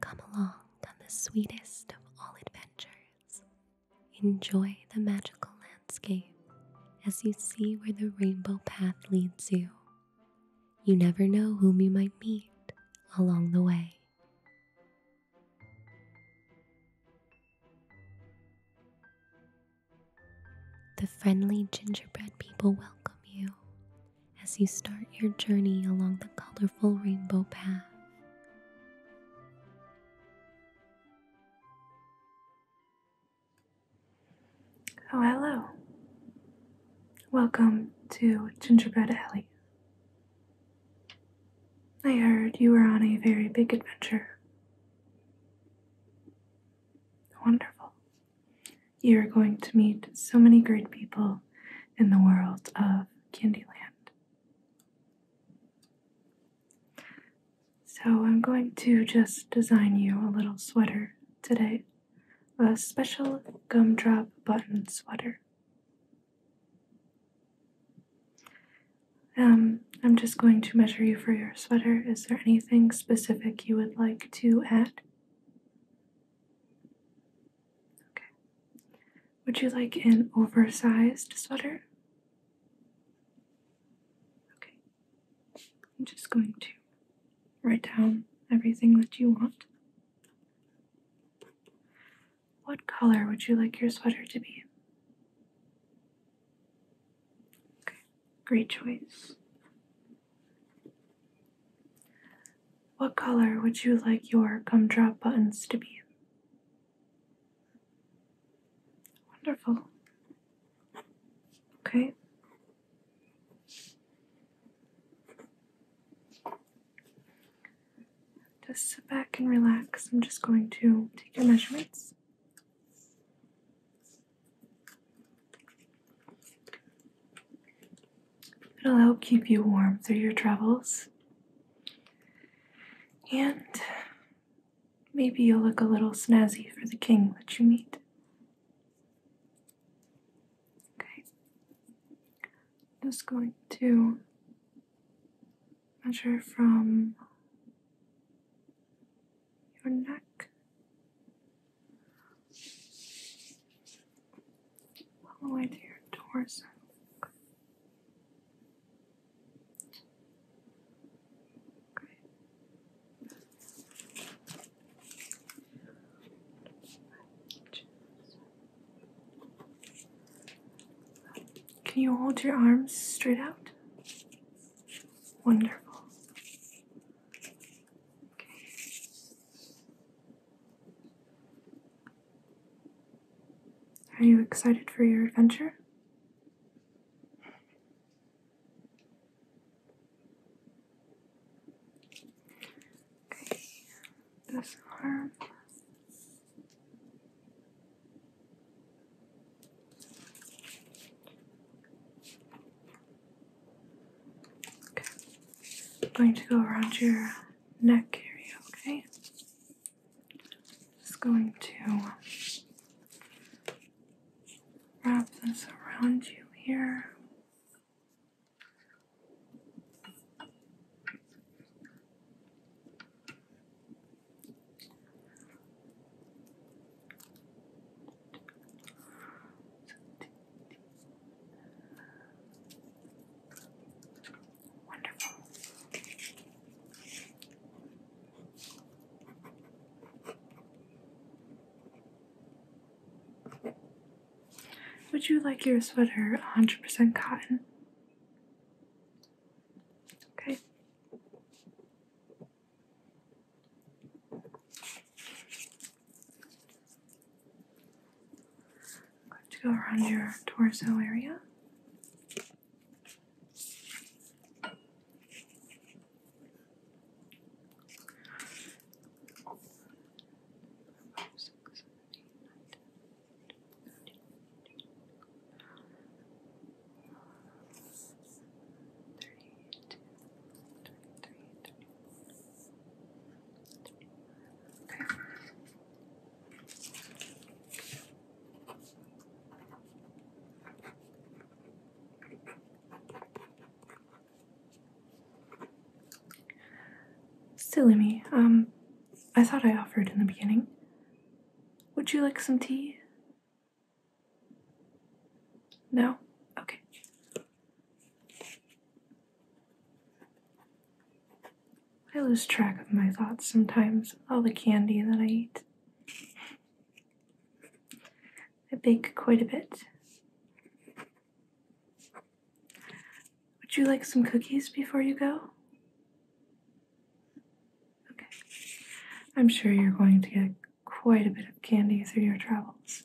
Come along on the sweetest of all adventures. Enjoy the magical landscape as you see where the rainbow path leads you. You never know whom you might meet along the way. The friendly gingerbread people welcome you as you start your journey along the colorful rainbow path. Oh, hello. Welcome to Gingerbread Alley. I heard you were on a very big adventure. Wonderful. You are going to meet so many great people in the world of Candyland. So, I'm going to just design you a little sweater today a special gumdrop button sweater. Um, I'm just going to measure you for your sweater. Is there anything specific you would like to add? Okay. Would you like an oversized sweater? Okay. I'm just going to write down everything that you want. What color would you like your sweater to be? Okay, great choice. What color would you like your gumdrop buttons to be? Wonderful. Okay. Just sit back and relax. I'm just going to take your measurements. It'll help keep you warm through your travels. And maybe you'll look a little snazzy for the king that you meet. Okay. Just going to measure from your neck all the way to your torso. Can you hold your arms straight out? Wonderful. Are you excited for your adventure? Okay, this arm. Okay. I'm going to go around your neck area, okay? Just going to wrap this around you here. Wonderful. Would you like your sweater 100% cotton? Okay to go around your torso area. Silly me. Um, I thought I offered in the beginning. Would you like some tea? No? Okay. I lose track of my thoughts sometimes, all the candy that I eat. I bake quite a bit. Would you like some cookies before you go? Okay. I'm sure you're going to get quite a bit of candy through your travels.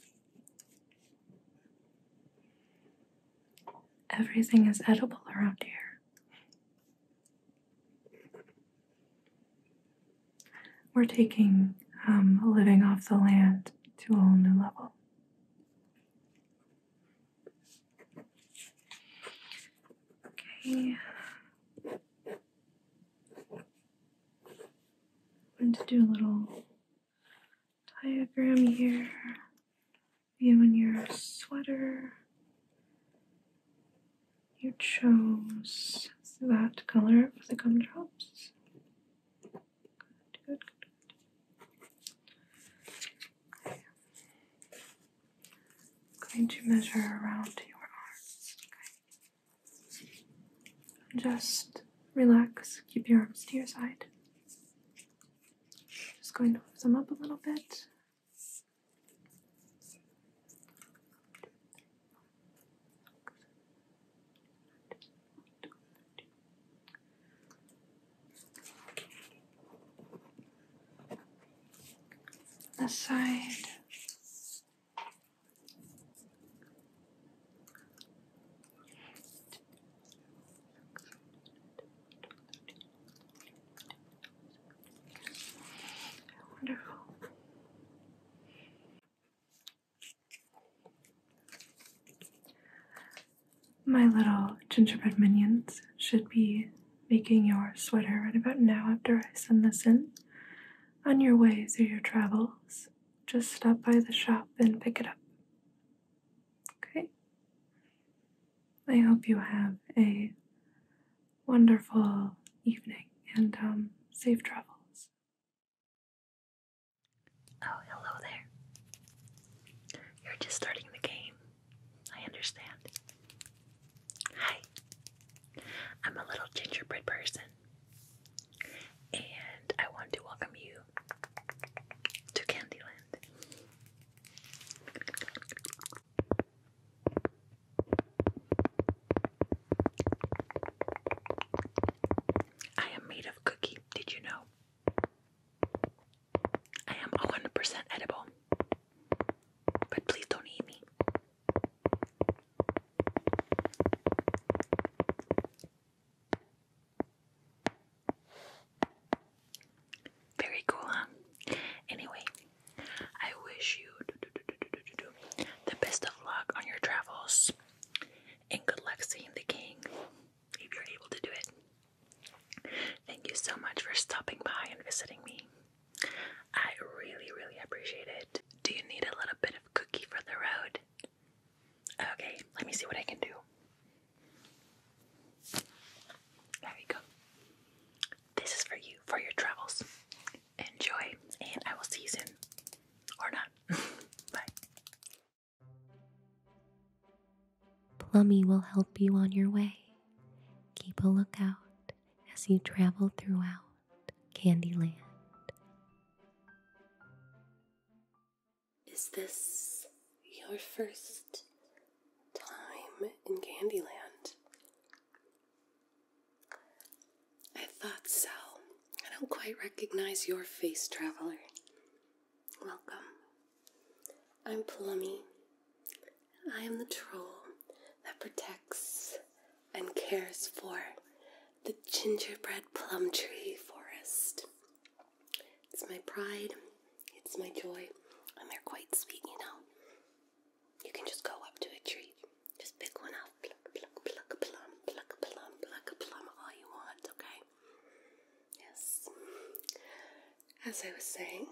Everything is edible around here. We're taking um, living off the land to a whole new level. Okay. I'm going to do a little diagram here, you and your sweater. You chose that color for the gumdrops. I'm going to measure around your arms. Just relax, keep your arms to your side. Just going to lift them up a little bit. This side. Wonderful. My little gingerbread minions should be making your sweater right about now after I send this in. On your way through your travels, just stop by the shop and pick it up. Okay. I hope you have a wonderful evening and um, safe travels. Oh, hello there. You're just starting the game. I understand. Hi. I'm a little gingerbread person, and I want to welcome you to Candyland. I am made of cookie, did you know? I am 100% edible. But please don't eat me. Very cool, huh? Anyway, I wish you the best of luck on your travels and good luck seeing the king if you're able to do it. Thank you so much for stopping by and visiting me. I really, really appreciate it. Do you need a little bit of cookie for the road? Okay, let me see what I can do. There you go. This is for you, for your travels. Enjoy, and I will see you soon. Or not. Bye. Plummy will help you on your way. Keep a lookout as you travel throughout Candyland. Is this your first time in Candyland? I thought so. I don't quite recognize your face, traveler. Welcome. I'm Plummy. I am the troll that protects and cares for the gingerbread plum tree forest. It's my pride, it's my joy, and they're quite sweet, you know. You can just go up to a tree, just pick one up, pluck, pluck, plum, pluck, plum, pluck, plum, all you want, okay? Yes. As I was saying,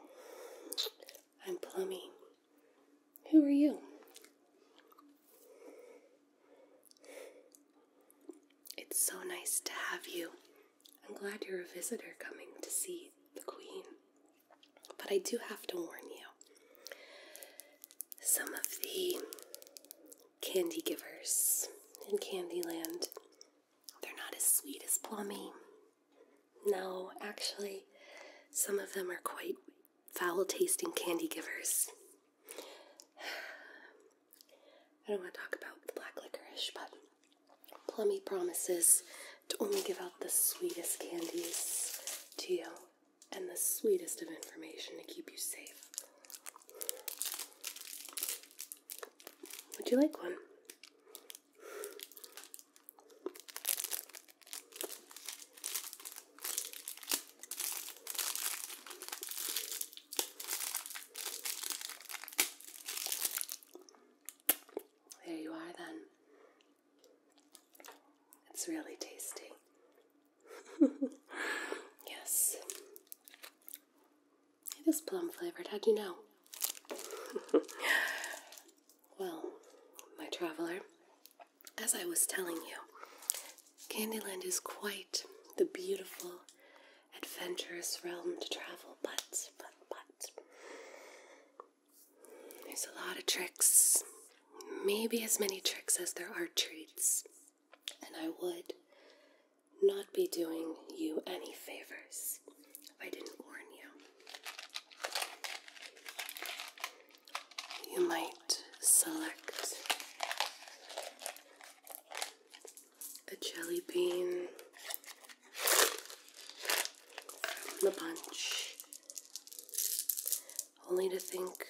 I'm Plummy. Who are you? It's so nice to have you I'm glad you're a visitor coming to see the Queen. But I do have to warn you. Some of the candy givers in Candyland, they're not as sweet as Plummy. No, actually, some of them are quite foul tasting candy givers. I don't want to talk about the black licorice, but Plummy promises to only give out the sweetest candies to you and the sweetest of information to keep you safe. Would you like one? There you are, then. It's really tasty. yes. It is plum flavored. How do you know? well, my traveler, as I was telling you, Candyland is quite the beautiful adventurous realm to travel, but, but, but, there's a lot of tricks. Maybe as many tricks as there are treats. And I would not be doing you any favors if I didn't warn you. You might select a jelly bean from the bunch. Only to think,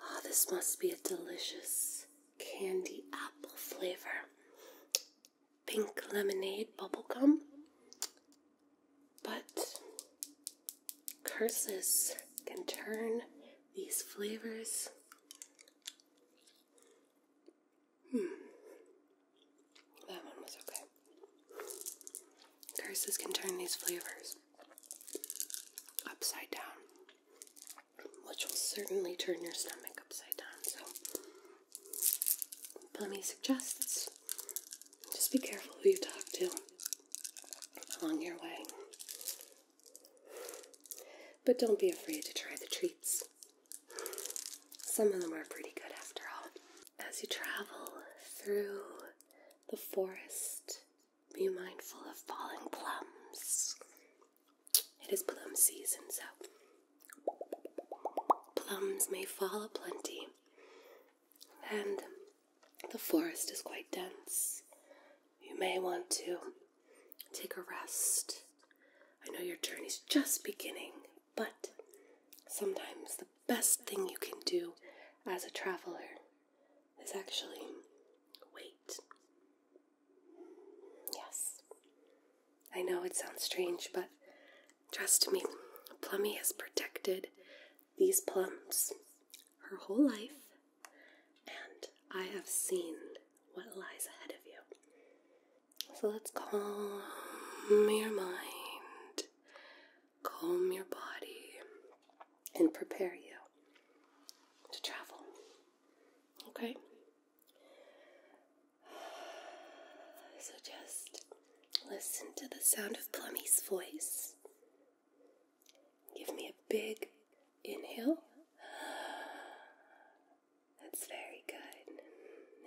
oh, this must be a delicious candy apple flavor. Pink lemonade bubble gum. But curses can turn these flavors Hmm. That one was okay. Curses can turn these flavors upside down, which will certainly turn your stomach upside down. So, let me suggest this: just be careful who you talk to along your way. But don't be afraid to try the treats. Some of them are pretty good after all. As you travel through the forest, be mindful of falling plums. It is plum season, so plums may fall a plenty. And the forest is quite dense. You may want to Take a rest. I know your journey's just beginning, but sometimes the best thing you can do as a traveler is actually wait. Yes. I know it sounds strange, but trust me, Plummy has protected these plums her whole life, and I have seen what lies ahead of you. So let's calm your mind, calm your body, and prepare you to travel. Okay? So just listen to the sound of Plummy's voice. Give me a big inhale that's very good.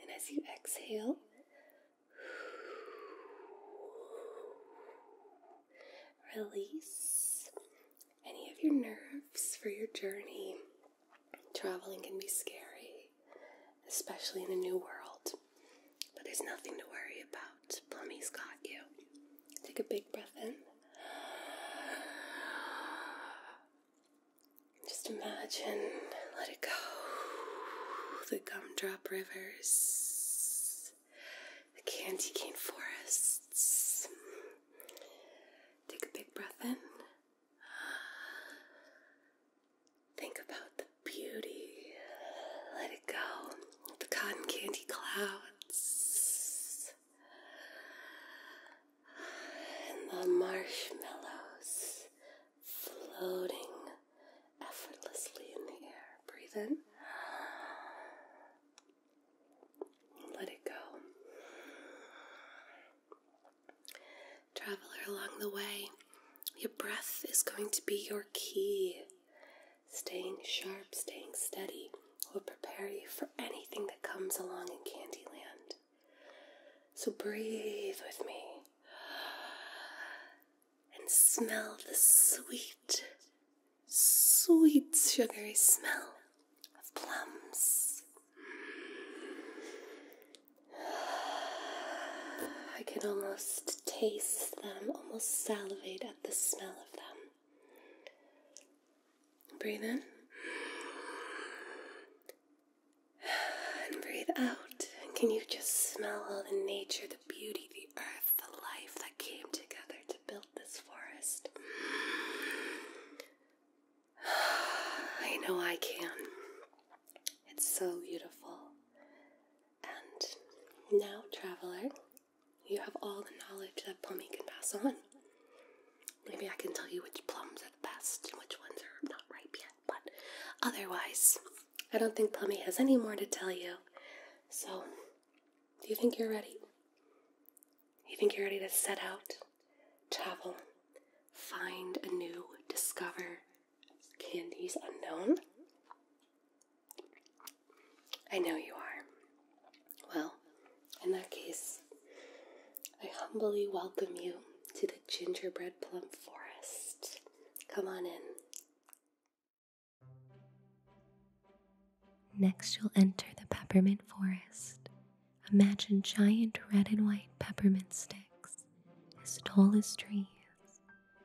And as you exhale, release any of your nerves for your journey. Traveling can be scary, especially in a new world. But there's nothing to worry about. Plummy's got you. Take a big breath in. Just imagine, let it go. The gumdrop rivers, the candy cane forests. Take a big breath in. Think about the beauty. Let it go. The cotton candy clouds and the marshmallows floating effortlessly in the air. Breathe in. Let it go. Traveler along the way, your breath is going to be your key. Staying sharp, staying steady will prepare you for anything that comes along in Candyland. So breathe with me and smell the sweet, sweet sugary smell of plums. I can almost taste them, almost salivate at the smell of them. Breathe in. And breathe out. can you just smell all the nature, the beauty, the earth, the life that came together to build this forest? I know I can. It's so beautiful. And now, traveler, you have all the knowledge that Pummy can pass on. Maybe I can tell you which plums are the best and which ones are not ripe yet, but otherwise, I don't think Plummy has any more to tell you. So, do you think you're ready? You think you're ready to set out, travel, find a new, discover candies unknown? I know you are. Well, in that case, I humbly welcome you to the gingerbread plum forest. Come on in. Next, you'll enter the peppermint forest. Imagine giant red and white peppermint sticks, as tall as trees.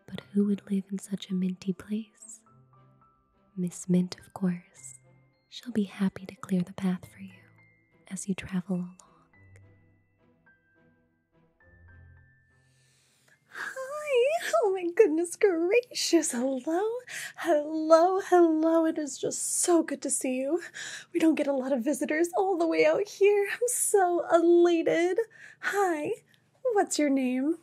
But who would live in such a minty place? Miss Mint, of course, She'll be happy to clear the path for you as you travel along. Hi! Oh my goodness gracious! Hello! Hello, hello. It is just so good to see you. We don't get a lot of visitors all the way out here. I'm so elated. Hi, what's your name?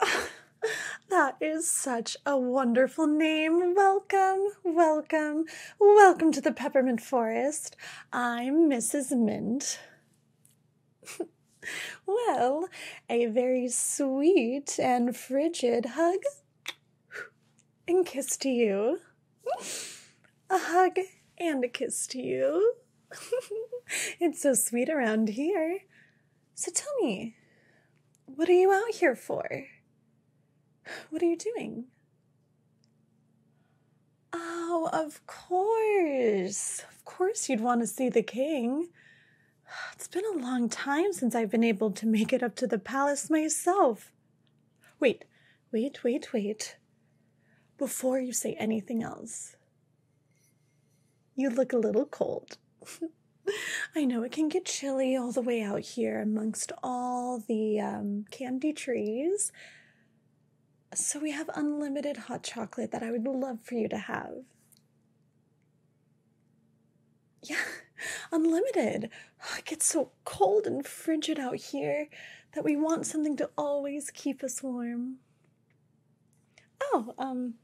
that is such a wonderful name. Welcome, welcome, welcome to the Peppermint Forest. I'm Mrs. Mint. well, a very sweet and frigid hug and kiss to you. A hug and a kiss to you. it's so sweet around here. So tell me, what are you out here for? What are you doing? Oh, of course. Of course, you'd want to see the king. It's been a long time since I've been able to make it up to the palace myself. Wait, wait, wait, wait. Before you say anything else, you look a little cold. I know it can get chilly all the way out here amongst all the um, candy trees. So, we have unlimited hot chocolate that I would love for you to have. Yeah, unlimited. Oh, it gets so cold and frigid out here that we want something to always keep us warm. Oh, um,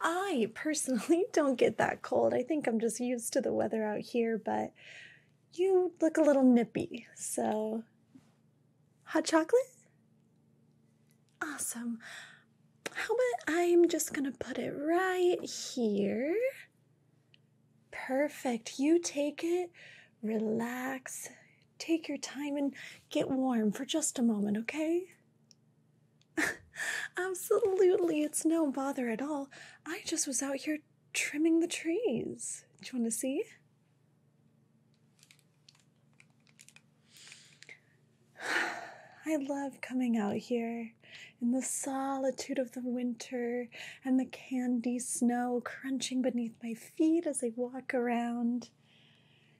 I personally don't get that cold. I think I'm just used to the weather out here, but you look a little nippy. So, hot chocolate? Awesome. How about I'm just going to put it right here? Perfect. You take it, relax, take your time, and get warm for just a moment, okay? Absolutely, it's no bother at all. I just was out here trimming the trees. Do you want to see? I love coming out here in the solitude of the winter and the candy snow crunching beneath my feet as I walk around.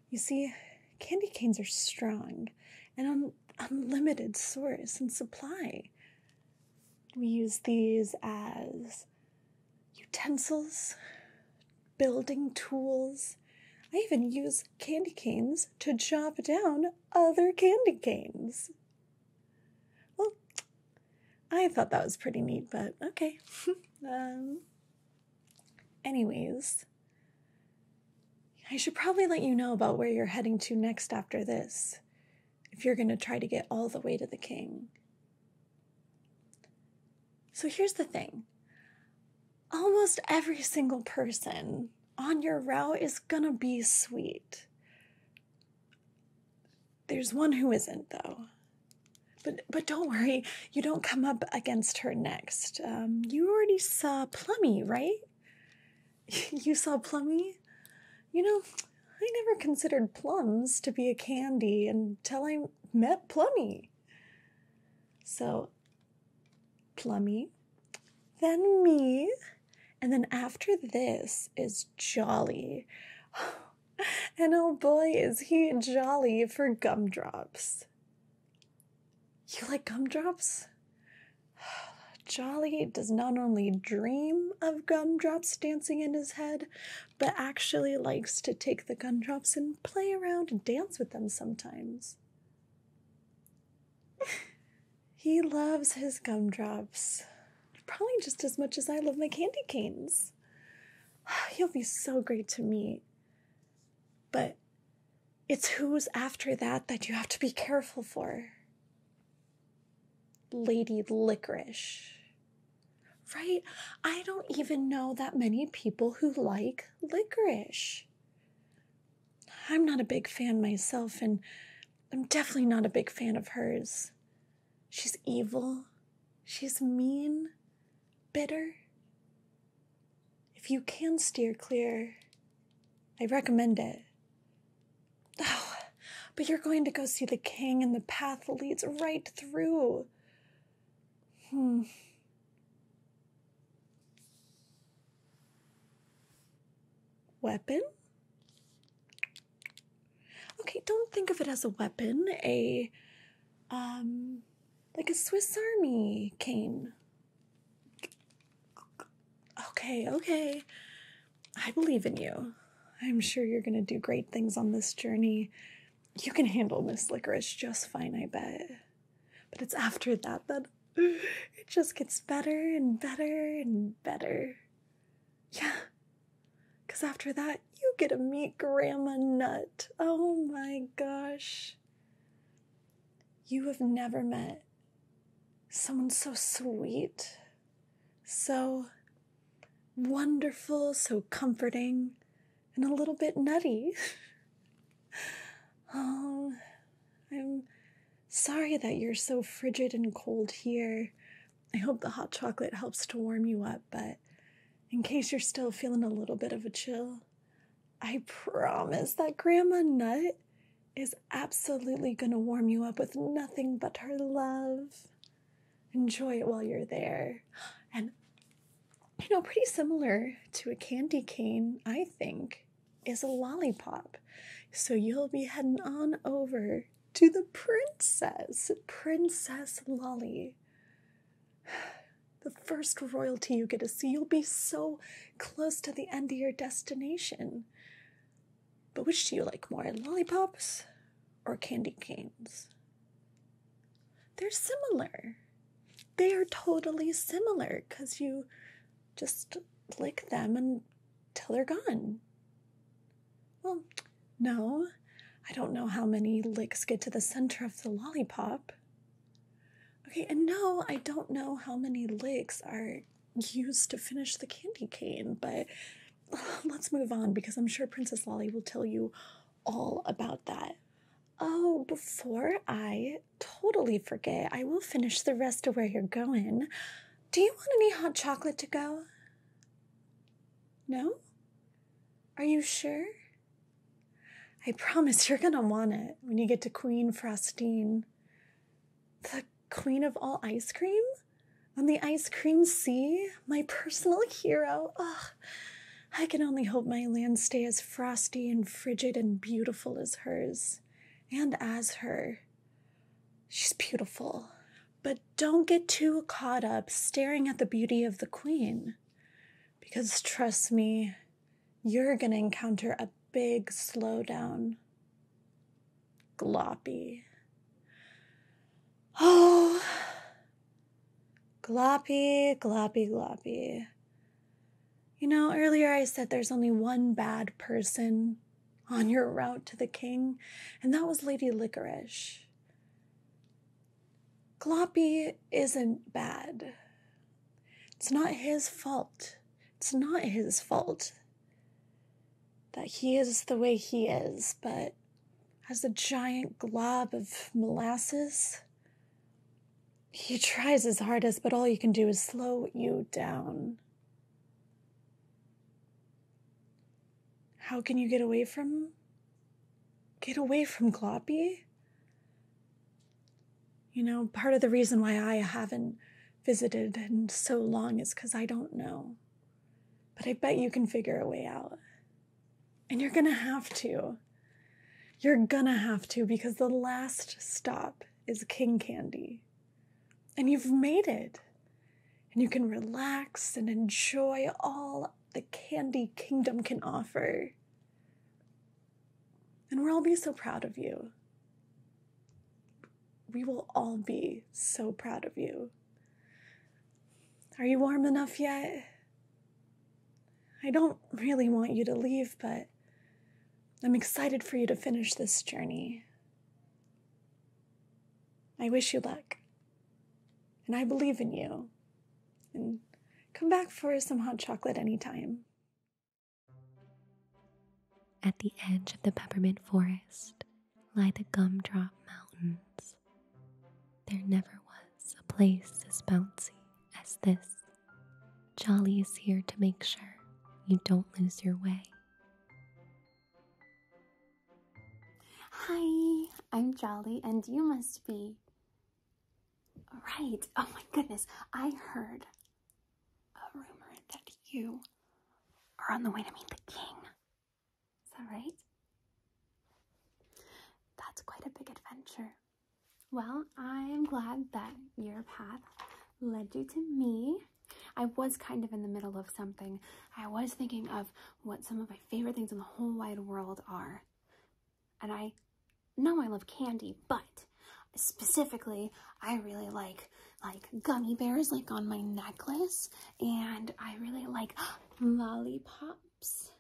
You see, candy canes are strong, and on unlimited source and supply. We use these as utensils, building tools. I even use candy canes to chop down other candy canes. Well, I thought that was pretty neat, but okay. Um, anyways, I should probably let you know about where you're heading to next after this, if you're going to try to get all the way to the king. So here's the thing almost every single person on your route is going to be sweet. There's one who isn't, though. But, but don't worry, you don't come up against her next. Um, you already saw Plummy, right? you saw Plummy? You know, I never considered plums to be a candy until I met Plummy. So, Plummy, then me, and then after this is Jolly. And oh boy, is he jolly for gumdrops. You like gumdrops? Jolly does not only dream of gumdrops dancing in his head, but actually likes to take the gumdrops and play around and dance with them sometimes. he loves his gumdrops, probably just as much as I love my candy canes. He'll be so great to meet. But it's who's after that that you have to be careful for. Lady Licorice. Right? I don't even know that many people who like licorice. I'm not a big fan myself, and I'm definitely not a big fan of hers. She's evil, she's mean, bitter. If you can steer clear, I recommend it. Oh, but you're going to go see the king, and the path leads right through. Hmm. Weapon? Okay, don't think of it as a weapon. A, um, like a Swiss Army cane. Okay, okay. I believe in you. I'm sure you're going to do great things on this journey. You can handle Miss Licorice just fine, I bet. But it's after that that it just gets better and better and better. Yeah. Because after that, you get to meet Grandma Nut. Oh my gosh. You have never met someone so sweet, so wonderful, so comforting, and a little bit nutty. oh, I'm sorry that you're so frigid and cold here. I hope the hot chocolate helps to warm you up, but in case you're still feeling a little bit of a chill, I promise that Grandma Nut is absolutely going to warm you up with nothing but her love. Enjoy it while you're there. And, you know, pretty similar to a candy cane, I think, is a lollipop. So you'll be heading on over to the princess, Princess Lolly. The first royalty you get to see, you'll be so close to the end of your destination. But which do you like more, lollipops or candy canes? They're similar. They are totally similar because you just lick them until they're gone. Well, no, I don't know how many licks get to the center of the lollipop. Okay, and no, I don't know how many licks are Used to finish the candy cane, but um, let's move on because I'm sure Princess Lolly will tell you all about that. Oh, before I totally forget, I will finish the rest of where you're going. Do you want any hot chocolate to go? No? Are you sure? I promise you're gonna want it when you get to Queen Frostine. The queen of all ice cream on the ice cream sea, my personal hero. Ugh. I can only hope my land stays as frosty and frigid and beautiful as hers, and as her. She's beautiful, but don't get too caught up staring at the beauty of the queen. Because trust me, you're gonna encounter a big slowdown. Gloppy. Oh, gloppy, gloppy, gloppy. You know, earlier I said there's only one bad person on your route to the king, and that was Lady Licorice. Gloppy isn't bad. It's not his fault it's not his fault that he is the way he is, but as a giant glob of molasses, he tries his hardest, but all you can do is slow you down. How can you get away from Get away from Gloppy? You know, part of the reason why I haven't visited and so long is because I don't know. But I bet you can figure a way out. And you're gonna have to. You're gonna have to because the last stop is King Candy. And you've made it. And you can relax and enjoy all the candy kingdom can offer. And we'll all be so proud of you we will all be so proud of you. Are you warm enough yet? I don't really want you to leave, but I'm excited for you to finish this journey. I wish you luck. And I believe in you. And come back for some hot chocolate anytime. At the edge of the peppermint forest lie the gumdrop mountains. There never was a place as bouncy as this. Jolly is here to make sure you don't lose your way. Hi, I'm Jolly, and you must be. Right. Oh my goodness. I heard a rumor that you are on the way to meet the king. Is that right? That's quite a big adventure. Well, I'm glad that your path led you to me. I was kind of in the middle of something. I was thinking of what some of my favorite things in the whole wide world are. And I know I love candy, but Specifically, I really like like gummy bears like on my necklace and I really like lollipops.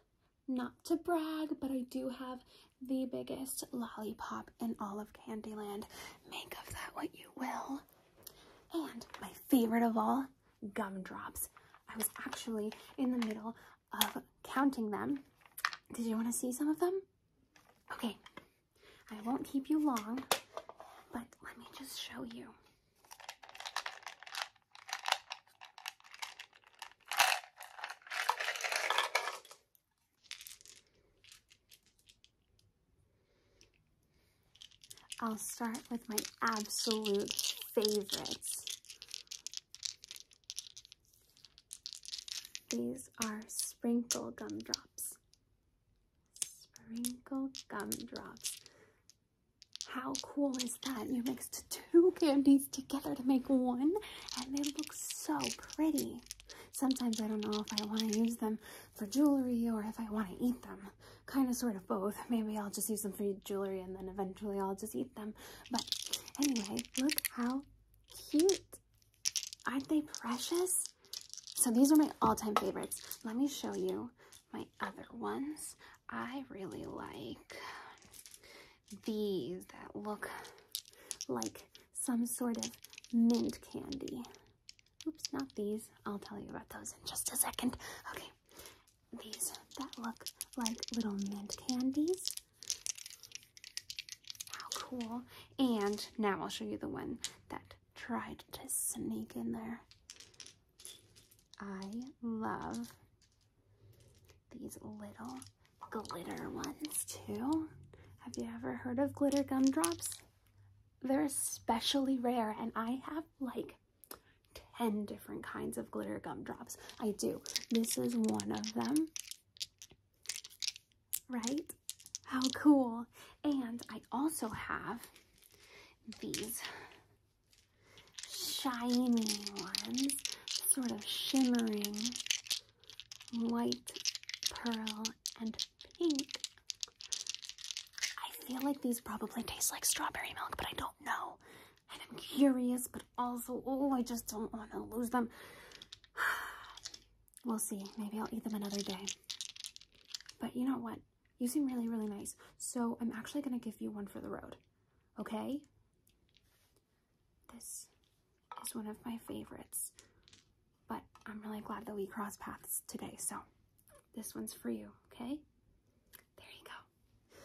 Not to brag, but I do have the biggest lollipop in all of Candyland. Make of that what you will. And my favorite of all, gumdrops. I was actually in the middle of counting them. Did you want to see some of them? Okay, I won't keep you long, but let me just show you. I'll start with my absolute favorites. These are sprinkle gumdrops. Sprinkle gumdrops. How cool is that? You mixed two candies together to make one, and they look so pretty. Sometimes I don't know if I want to use them for jewelry or if I want to eat them. Kind of sort of both. Maybe I'll just use them for jewelry and then eventually I'll just eat them. But anyway, look how cute Aren't they precious? So these are my all-time favorites. Let me show you my other ones. I really like these that look like some sort of mint candy. Oops, not these. I'll tell you about those in just a second. Okay, these that look like little mint candies. How cool. And now I'll show you the one that tried to sneak in there. I love these little glitter ones too. Have you ever heard of glitter gumdrops? They're especially rare and I have like 10 different kinds of glitter gumdrops. I do. This is one of them right? How cool. And I also have these shiny ones, sort of shimmering white, pearl, and pink. I feel like these probably taste like strawberry milk, but I don't know. And I'm curious, but also, oh, I just don't want to lose them. We'll see. Maybe I'll eat them another day. But you know what? You seem really, really nice. So I'm actually going to give you one for the road. Okay? This is one of my favorites. But I'm really glad that we crossed paths today. So this one's for you. Okay? There you go.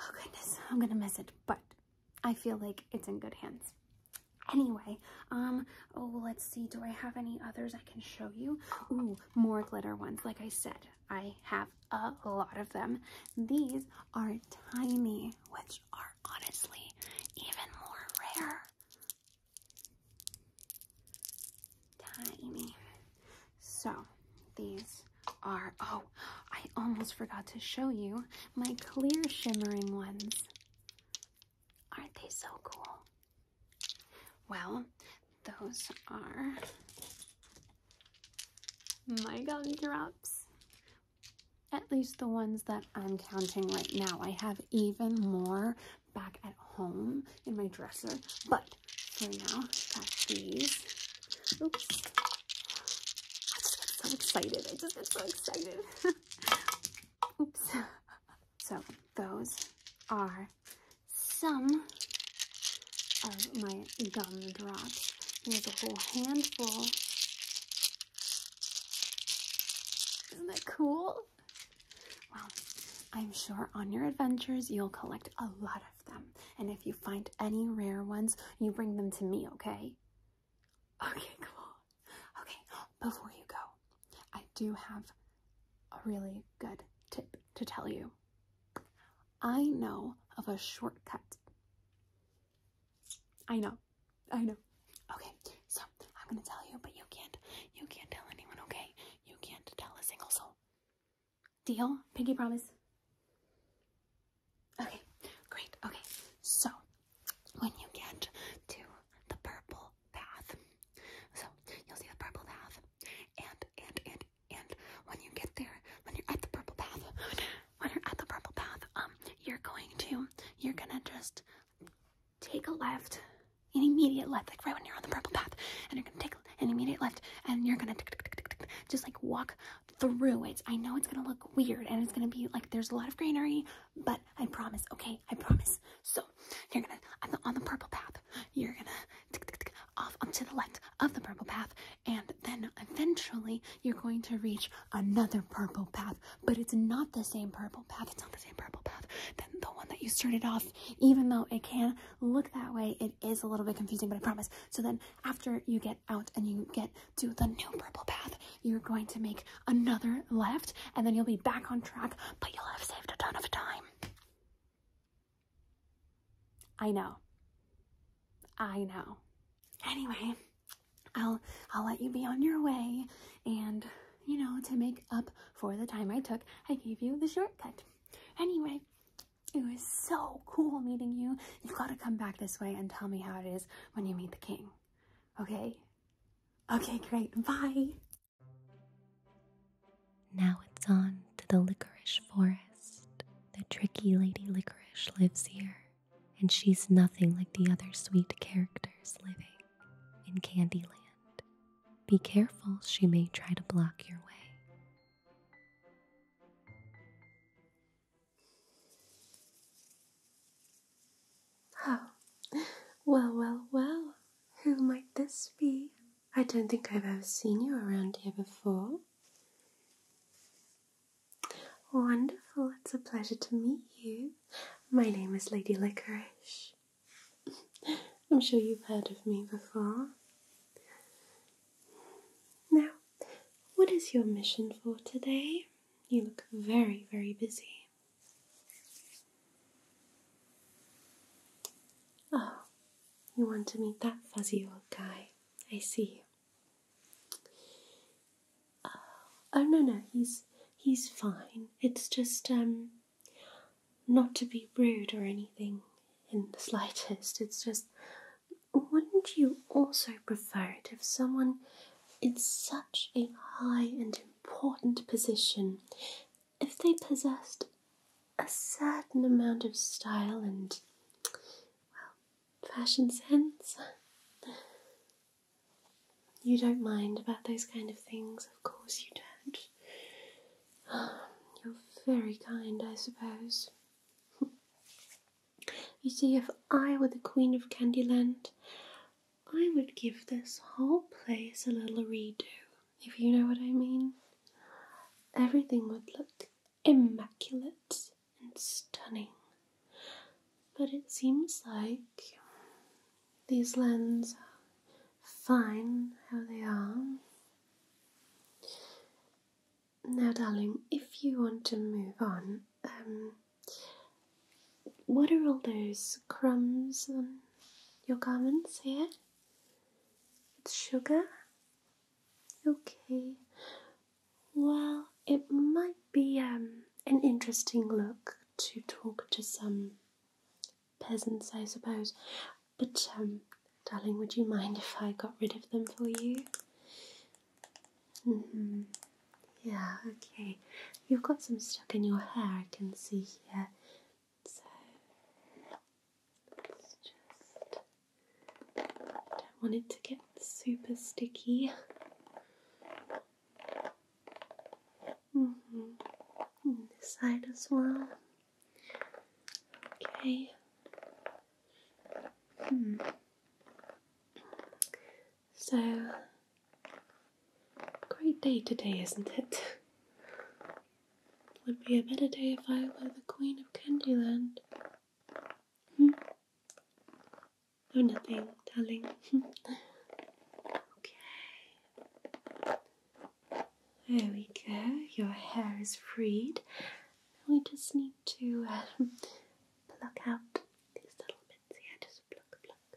Oh, goodness. I'm going to miss it. But I feel like it's in good hands. Anyway, um, oh, let's see. Do I have any others I can show you? Ooh, more glitter ones. Like I said, I have a lot of them. These are tiny, which are honestly even more rare. Tiny. So, these are, oh, I almost forgot to show you my clear shimmering ones. Aren't they so cool? Well, those are my drops. At least the ones that I'm counting right now. I have even more back at home in my dresser, but for now, got these. Oops. I just get so excited. I just get so excited. Oops. So those are some of my gum drops. There's a whole handful. Isn't that cool? Well, I'm sure on your adventures you'll collect a lot of them. And if you find any rare ones, you bring them to me, okay? Okay, cool. Okay, before you go, I do have a really good tip to tell you. I know of a shortcut. I know. I know. Okay, so I'm gonna tell you, but you can't you can't tell anyone, okay? You can't tell a single soul. Deal? Pinky promise. Okay, great. Okay, so when you get to the purple path. So you'll see the purple path, and and and and when you get there, when you're at the purple path, when you're at the purple path, um, you're going to, you're gonna just take a left, an immediate left, like right when you're on the purple path, and you're gonna take an immediate left, and you're gonna just like walk through it. I know it's gonna look weird and it's gonna be like there's a lot of greenery, but I promise, okay? I promise. So you're gonna on the, on the purple path. You're gonna tick, tick, tick, off onto the left of the purple path, and then eventually you're going to reach another purple path. But it's not the same purple path. It's not the same purple path than the one that you started off. Even though it can look that way, it is a little bit confusing. But I promise. So then after you get out and you get to the new purple path, you're going to make another left, and then you'll be back on track but you'll have saved a ton of time. I know. I know. Anyway, I'll I'll let you be on your way and you know, to make up for the time I took, I gave you the shortcut. Anyway, it was so cool meeting you. You have gotta come back this way and tell me how it is when you meet the king. Okay? Okay, great. Bye. Now it's on to the licorice forest. The tricky Lady Licorice lives here, and she's nothing like the other sweet characters living in Candyland. Be careful, she may try to block your way. Oh, well, well, well. Who might this be? I don't think I've ever seen you around here before. Wonderful, it's a pleasure to meet you. My name is Lady Licorice. I'm sure you've heard of me before. Now, what is your mission for today? You look very, very busy. Oh, you want to meet that fuzzy old guy? I see oh, oh no, no, he's he's fine. It's just um, not to be rude or anything in the slightest. It's just, wouldn't you also prefer it if someone in such a high and important position if they possessed a certain amount of style and, well, fashion sense. You don't mind about those kind of things, of course you don't. you're very kind, I suppose. you see, if I were the Queen of Candyland, I would give this whole place a little redo if you know what I mean. Everything would look immaculate and stunning. But it seems like these lands are fine how they are. Now, darling, if you want to move on, um, what are all those crumbs on your garments here? It's sugar? Okay. Well, it might be um, an interesting look to talk to some peasants, I suppose. But, um, darling, would you mind if I got rid of them for you? Mm-hmm. Yeah, okay. You've got some stuck in your hair, I can see here. So just I don't want it to get super sticky. Mm this side as well. Okay. Hmm. So Great day today, isn't it? Would be a better day if I were the Queen of Candyland. Oh, nothing, darling. okay. There we go. Your hair is freed. We just need to um, pluck out these little bits here. Just pluck, pluck,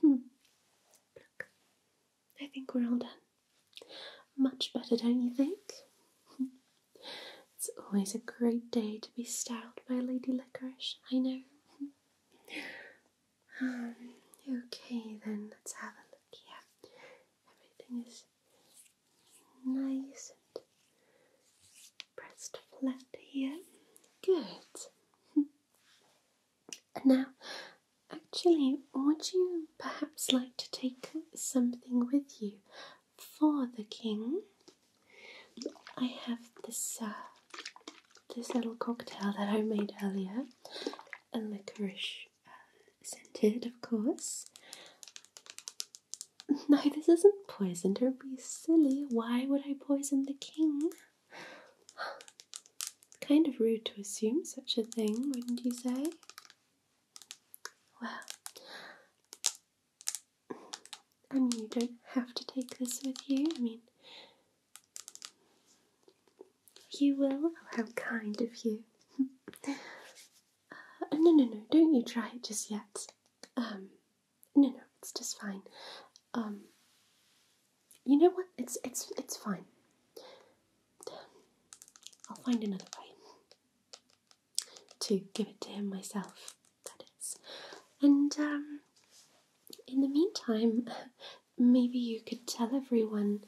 Hmm. I think we're all done. Much better, don't you think? it's always a great day to be styled by Lady Licorice, I know. um, okay, then let's have a look here. Everything is nice and pressed flat here. Good. Now, actually, would you perhaps like to take something with you for the king? I have this uh, this little cocktail that I made earlier, and licorice uh, scented, of course. No, this isn't poison. Don't be silly. Why would I poison the king? Kind of rude to assume such a thing, wouldn't you say? Well, I mean, you don't have to take this with you. I mean, you will. Oh, how kind of you. Uh, no, no, no, don't you try it just yet. Um, no, no, it's just fine. Um, you know what? It's it's it's fine. I'll find another way to give it to him myself. That is, and um, in the meantime, maybe you could tell everyone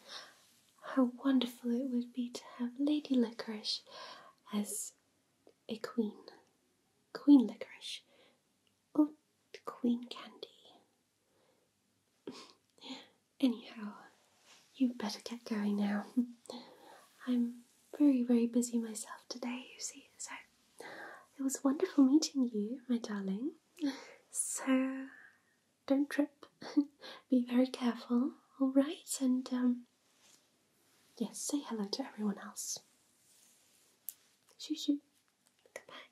how wonderful it would be to have Lady Licorice as a queen, Queen Licorice, or Queen Candy. Anyhow, you better get going now. I'm very, very busy myself today, you see, so it was wonderful meeting you, my darling. So don't trip, be very careful, alright? And um, yes, say hello to everyone else. Shoo shoo, goodbye.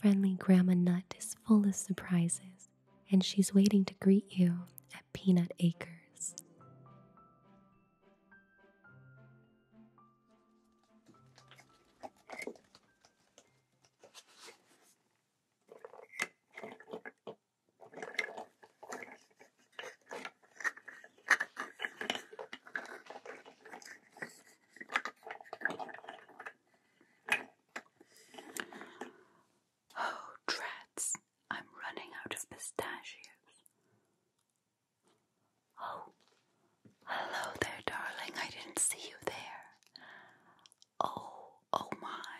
Friendly Grandma Nut is full of surprises, and she's waiting to greet you at Peanut Acres. Oh, dreads, I'm running out of pistachios. Oh, hello there, darling. I didn't see you there. Oh, oh my.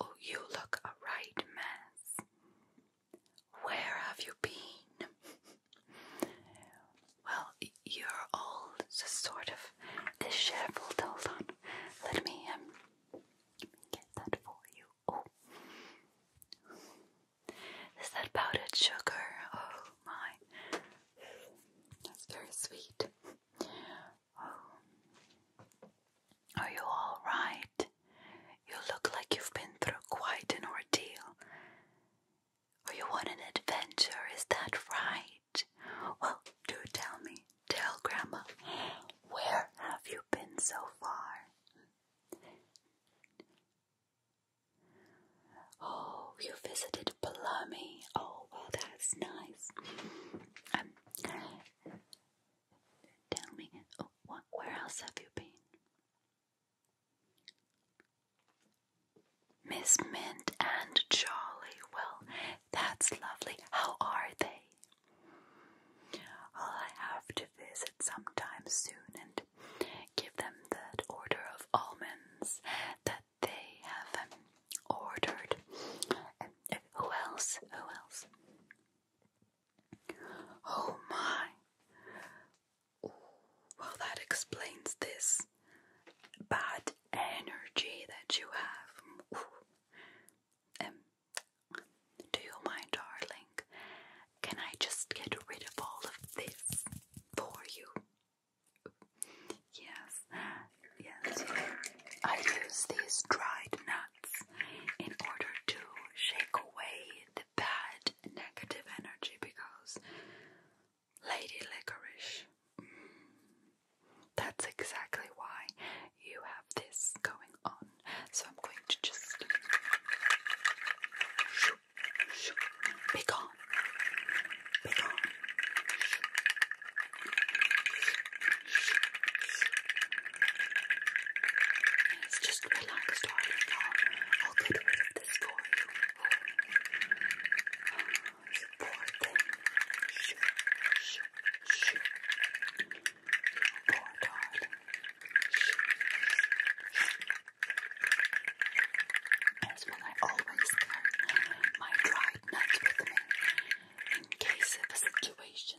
Oh, you look a right mess. Where have you been? well, you're all sort of disheveled. Hold on. Let me um get that for you. Oh. Is that powdered sugar? Oh my. That's very sweet. Oh. Are you all right? You look like you've been through quite an ordeal. Or you want an adventure, is that right? Well, do tell me, tell Grandma, where have you been so far? Oh, you visited Palami. Oh, well, that's nice. Um, tell me, where else have you been? Miss Mint and Charlie. Well, that's lovely. How are they? Well, I have to visit sometime soon and give them that order of almonds that they have um, ordered. Uh, who else? Who else? Oh my! well, that explains this bad energy that you have. Um, do you mind, darling? Can I just get rid of all of this for you? Yes, yes. I use these dried nuts in order to shake away the bad negative energy because Lady Licorice. Mm, that's exactly why you have this going on. So I'm going to just Be gone. It's just relaxed on it. I'll, I'll of this poor thing. Poor darling. As when I always carry my dried nuts with me in case of a such as this.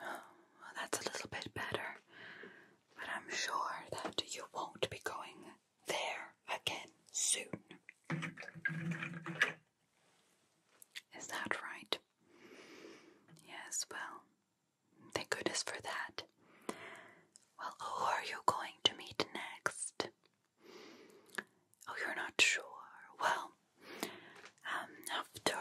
Oh, that's a little bit better, but I'm sure that you won't be going there again soon. Is that right? Yes, well, Thank goodness for that. Well, who are you going to meet next? Oh, you're not sure. Well, um, after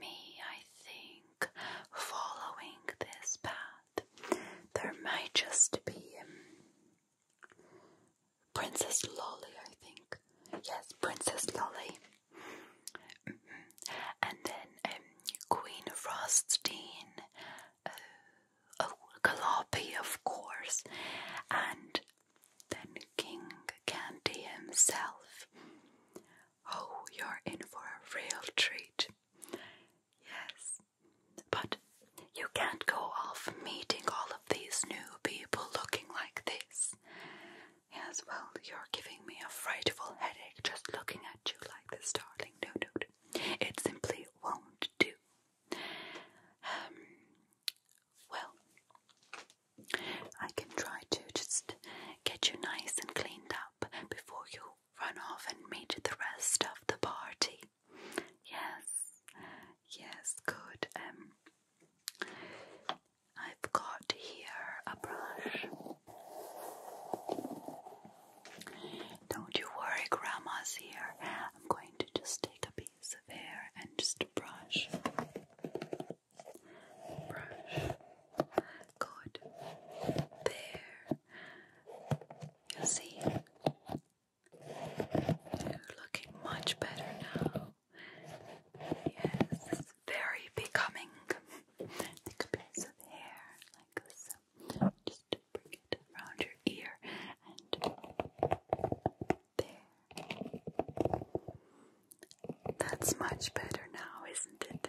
me, I think following this path, there might just be um, Princess Lolly, I think. Yes, Princess Lolly. And then um, Queen Frostine, uh, oh, Galoppy, of course, and then King Candy himself. Oh, you're in for a real treat. Yes, but you can't go off meeting all of these new people looking like this. Yes, well, you're giving me a frightful headache just looking at you like this, darling. No, no, It simply won't do. Um, well, I can try to just get you nice and cleaned up before you run off and meet the rest of the party. Yes, yes, good. Um, I've got here a brush. Don't you worry, Grandma's here. I'm going to just take a piece of hair and just brush. Brush. Good. There. You see? You're looking much better now. Yes, very becoming. Take a piece of hair like so. Just bring it around your ear and there. That's much better now, isn't it?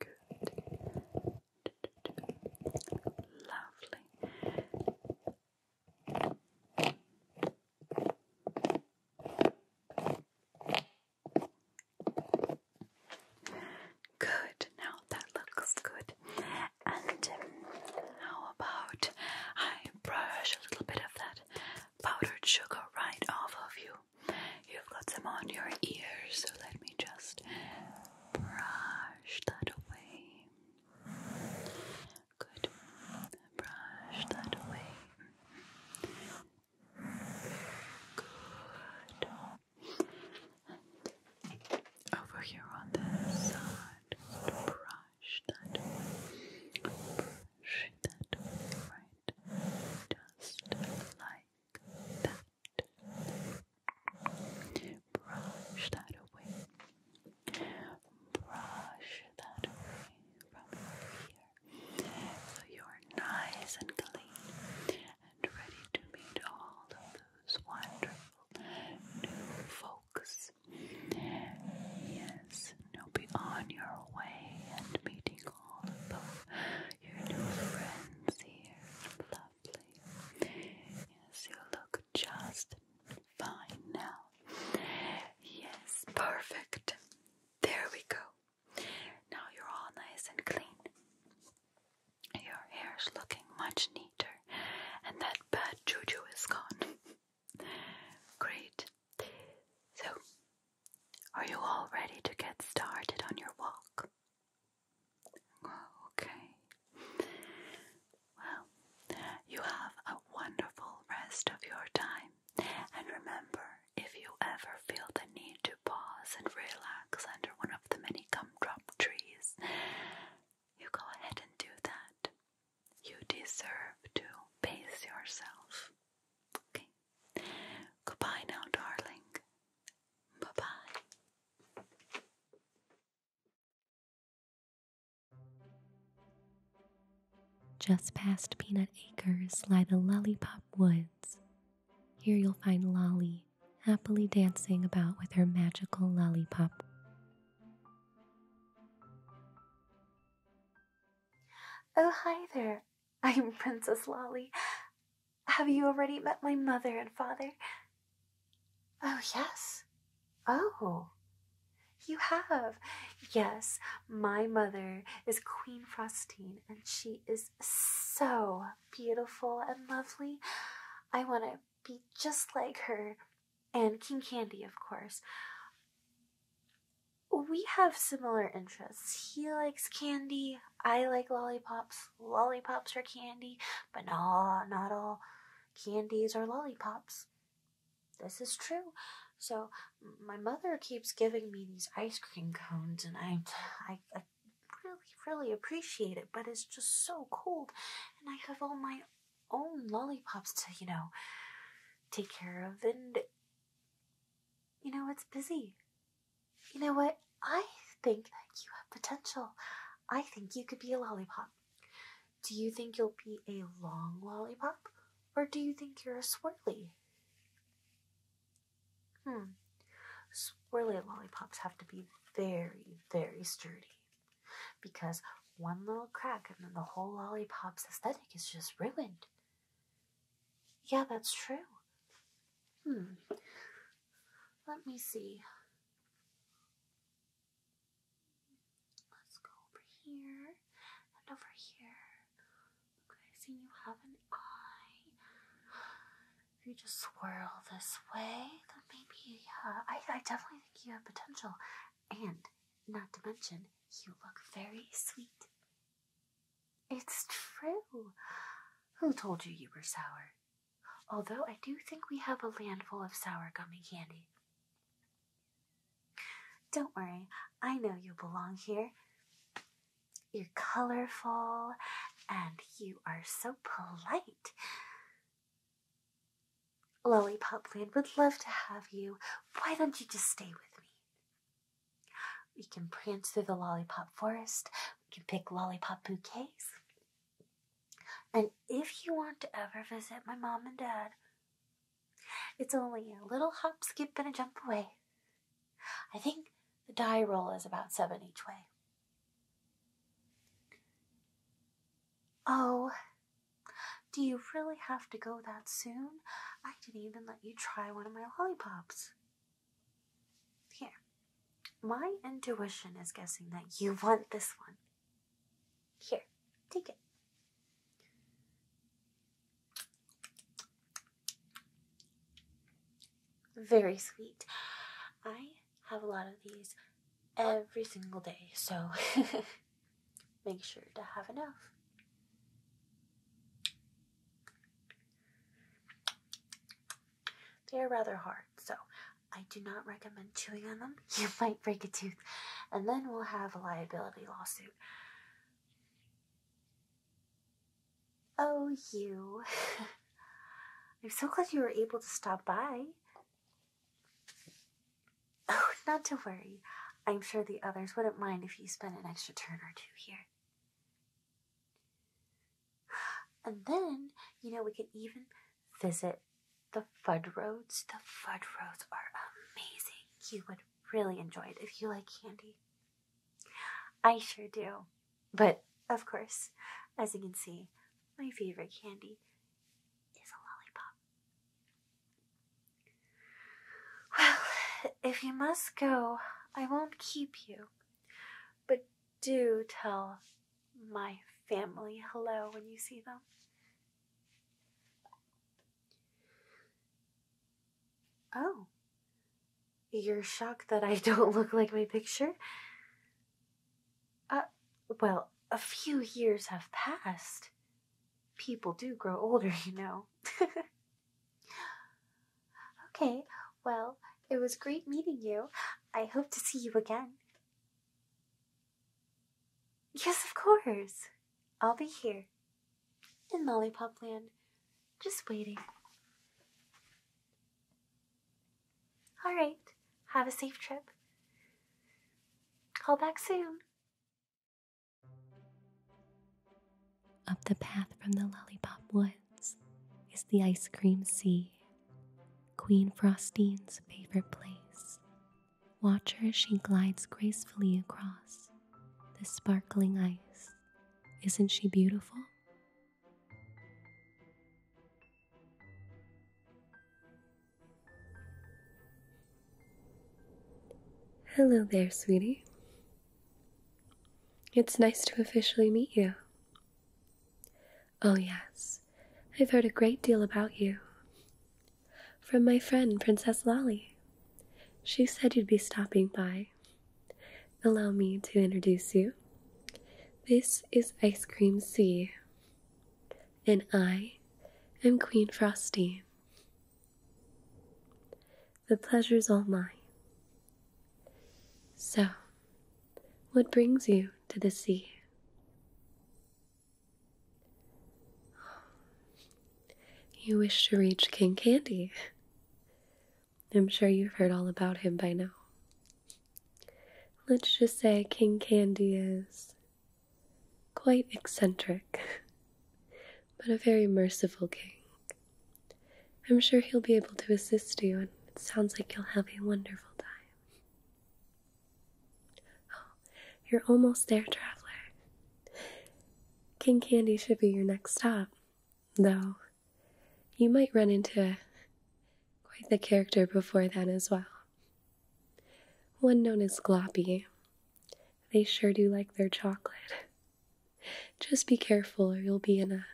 Good. Lovely. Good, now that looks good. And um, how about I brush a little bit of that powdered sugar right off of you? You've got some on your ears, so let me just brush that away. Good, brush that away over here on this side, brush that way. Brush that way, right? like that. Brush that away. Brush that away from here. So you're nice and clean and ready to meet all of those wonderful new folks. Yes, now be on your way and meeting all of your new friends here. Lovely. Yes, you look just fine now. Yes, perfect. There we go. Now you're all nice and clean. Your hair's looking much neater, and that bad juju is gone. Great. So, are you all ready to get started on your walk? Okay. Well, you have a wonderful rest of your time, and remember if you ever feel the need to pause and relax under one of the many gumdrop trees, you go ahead and do that. You deserve to pace yourself. Okay. Goodbye now, darling. Bye bye. Just past Peanut Acres lie the Lollipop Woods, here you'll find Lolly happily dancing about with her magical lollipop. Oh, hi there. I am Princess Lolly. Have you already met my mother and father? Oh, yes. Oh, you have. Yes, my mother is Queen Frostine, and she is so beautiful and lovely. I want to be just like her and King Candy, of course. We have similar interests. He likes candy. I like lollipops. Lollipops are candy, but no, not all candies are lollipops. This is true. So my mother keeps giving me these ice cream cones, and I, I, I really, really appreciate it, but it's just so cold, and I have all my own lollipops to, you know, take care of, and you know, it's busy. You know what? I think that you have potential. I think you could be a lollipop. Do you think you'll be a long lollipop, or do you think you're a swirly? Hmm. Swirly lollipops have to be very, very sturdy because one little crack and then the whole lollipop's aesthetic is just ruined. Yeah, that's true. Hmm. Let me see. Let's go over here and over here. Okay, I you have an eye if you just swirl this way, then maybe, yeah, uh, I, I definitely think you have potential. And not to mention, you look very sweet. It's true. Who told you you were sour? Although I do think we have a land full of sour gummy candy. Don't worry, I know you belong here. You're colorful and you are so polite. Lollipopland would love to have you. Why don't you just stay with me? We can prance through the lollipop forest. We can pick lollipop bouquets. And if you want to ever visit my mom and dad, it's only a little hop, skip, and a jump away. I think the die roll is about seven each way. Oh, do you really have to go that soon? I didn't even let you try one of my lollipops. Here, my intuition is guessing that you want this one. Here, take it very sweet. I have a lot of these every single day, so make sure to have enough. They are rather hard, so I do not recommend chewing on them. You might break a tooth, and then we'll have a liability lawsuit. Oh, you. I'm so glad you were able to stop by. Oh, not to worry. I'm sure the others wouldn't mind if you spent an extra turn or two here. And then, you know, we could even visit the Fud The Fud are amazing. You would really enjoy it if you like candy. I sure do. But of course, as you can see, my favorite candy is a lollipop. Well, if you must go, I won't keep you. But do tell my family hello when you see them. Oh, you're shocked that I don't look like my picture? Uh, well, a few years have passed. People do grow older, you know. okay, well, it was great meeting you. I hope to see you again. Yes, of course. I'll be here. In Lollipop Land, just waiting. All right, have a safe trip. Call back soon. Up the path from the Lollipop Woods is the ice cream sea, Queen Frostine's favorite place. Watch her as she glides gracefully across the sparkling ice. Isn't she beautiful? Hello there, sweetie. It's nice to officially meet you. Oh, yes, I've heard a great deal about you. From my friend, Princess Lolly. She said you'd be stopping by, allow me to introduce you. This is Ice Cream Sea, and I am Queen Frosty. The pleasure's all mine. So, what brings you to the sea? You wish to reach King Candy. I'm sure you've heard all about him by now. Let's just say King Candy is quite eccentric, but a very merciful king. I'm sure he'll be able to assist you, and it sounds like you'll have a wonderful time. Oh, you're almost there, traveler. King Candy should be your next stop, though you might run into quite the character before then as well. One known as Gloppy. They sure do like their chocolate. Just be careful, or you'll be in a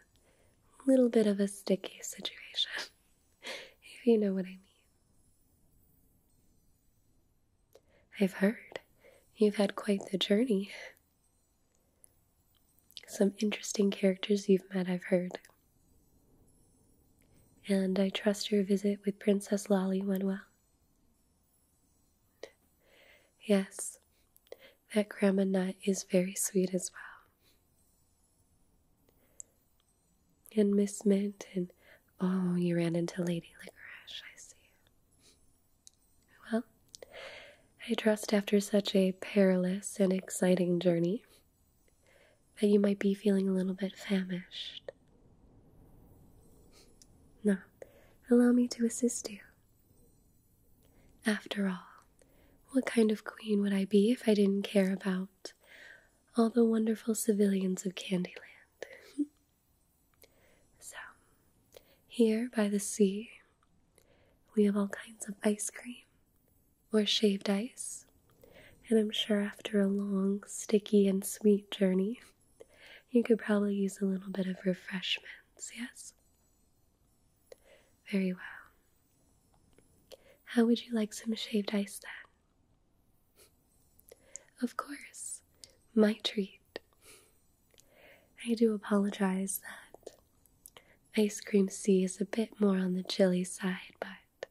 little bit of a sticky situation, if you know what I mean. I've heard you've had quite the journey. Some interesting characters you've met, I've heard. And I trust your visit with Princess Lolly went well. Yes, that grandma nut is very sweet as well. And Miss Mint, oh, you ran into Lady Licorice, I see. Well, I trust after such a perilous and exciting journey that you might be feeling a little bit famished. Now, allow me to assist you. After all, what kind of queen would I be if I didn't care about all the wonderful civilians of Candyland? so, here by the sea, we have all kinds of ice cream or shaved ice. And I'm sure after a long, sticky, and sweet journey, you could probably use a little bit of refreshments, yes? Very well. How would you like some shaved ice then? Of course, my treat. I do apologize that Ice Cream sea is a bit more on the chilly side, but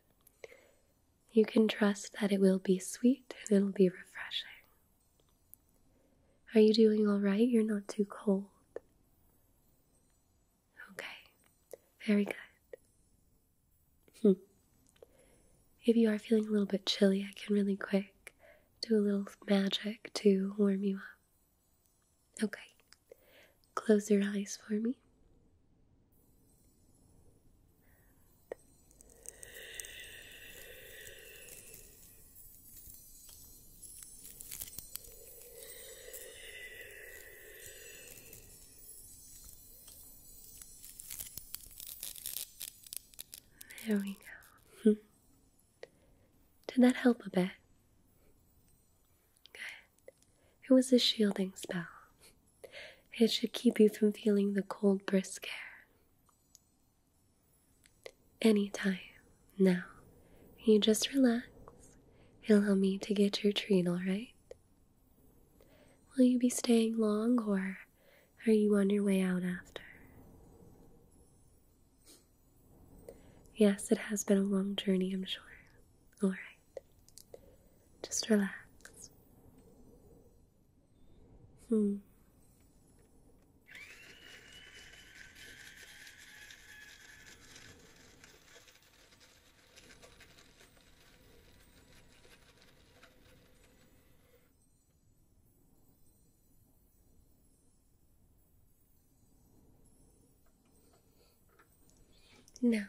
you can trust that it will be sweet and it'll be refreshing. Are you doing all right? You're not too cold. Okay, very good. Hmm. If you are feeling a little bit chilly, I can really quick do a little magic to warm you up. Okay, close your eyes for me. There we go. Did that help a bit? Good. It was a shielding spell. It should keep you from feeling the cold, brisk air. Any time now, you just relax It'll help me to get your treat, alright? Will you be staying long or are you on your way out after? Yes, it has been a long journey, I'm sure. Alright. Just relax. Hmm. No.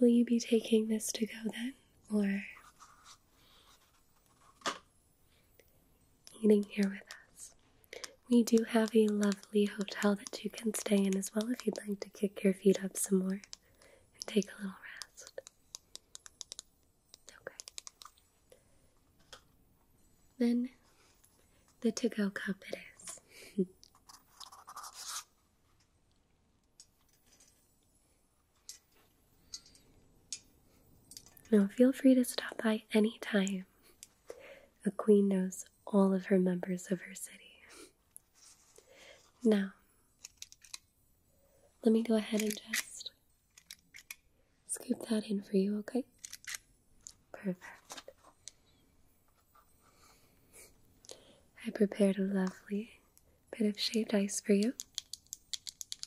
will you be taking this to go then, or? eating here with us. We do have a lovely hotel that you can stay in as well if you'd like to kick your feet up some more and take a little rest. Okay. Then the to go cup it is. Now, feel free to stop by anytime city. A queen knows all of her members of her city. Now, let me go ahead and just scoop that in for you, okay? Perfect. I prepared a lovely bit of shaved ice for you.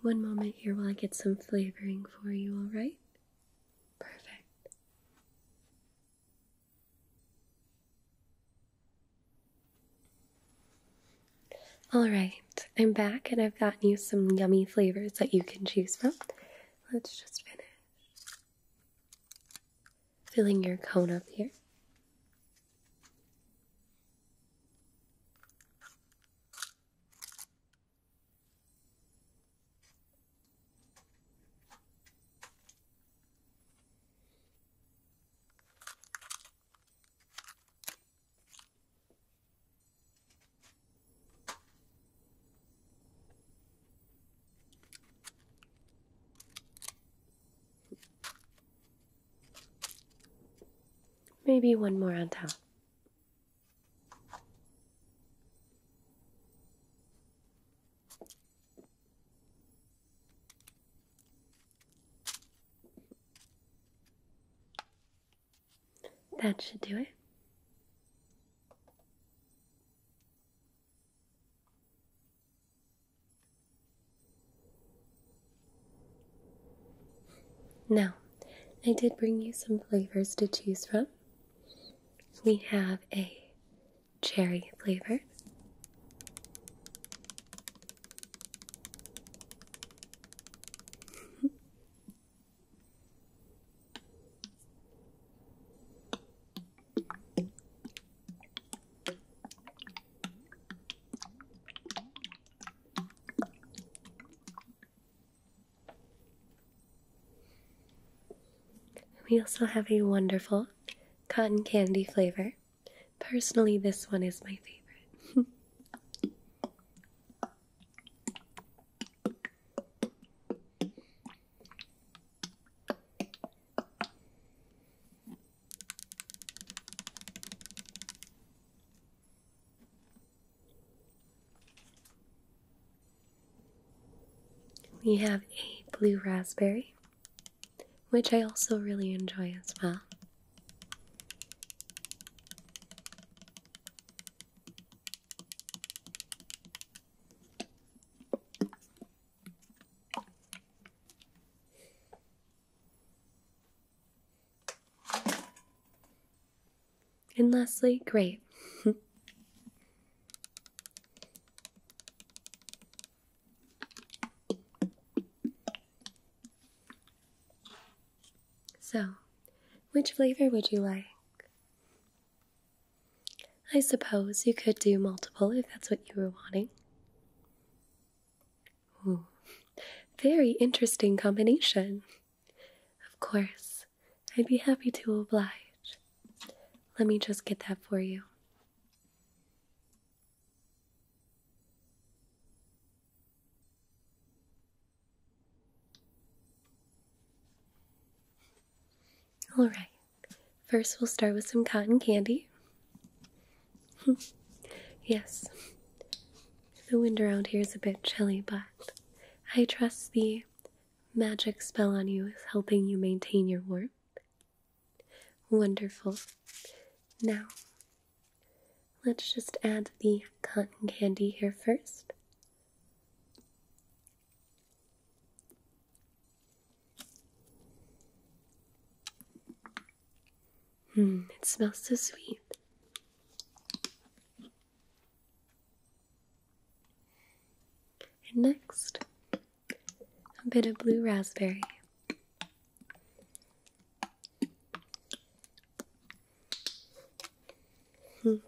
One moment here while I get some flavoring for you, alright? Perfect. Alright, I'm back and I've gotten you some yummy flavors that you can choose from. Let's just finish. Filling your cone up here. Maybe one more on top. That should do it. Now, I did bring you some flavors to choose from. We have a cherry flavor, we also have a wonderful cotton candy flavor. Personally, this one is my favorite. We have a blue raspberry, which I also really enjoy as well. And lastly, grape. so, which flavor would you like? I suppose you could do multiple if that's what you were wanting. Ooh, very interesting combination. Of course, I'd be happy to oblige. Let me just get that for you. All right. First, we'll start with some cotton candy. yes, the wind around here is a bit chilly, but I trust the magic spell on you is helping you maintain your warmth. Wonderful. Now, let's just add the cotton candy here first. Mm, it smells so sweet. And next, a bit of blue raspberry. Mm.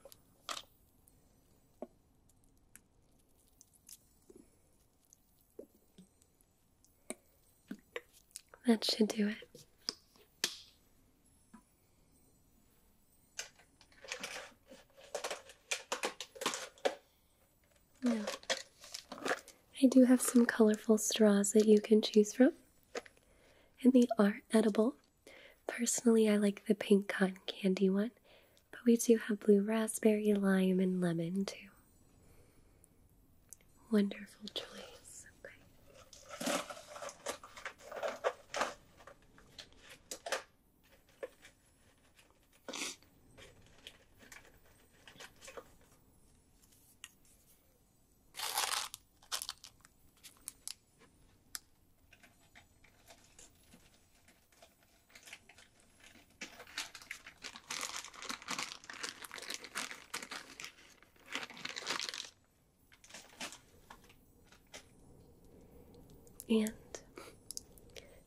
That should do it. Now, I do have some colorful straws that you can choose from, and they are edible. Personally, I like the pink cotton candy one. But we do have blue raspberry, lime, and lemon too. Wonderful choice. Okay. And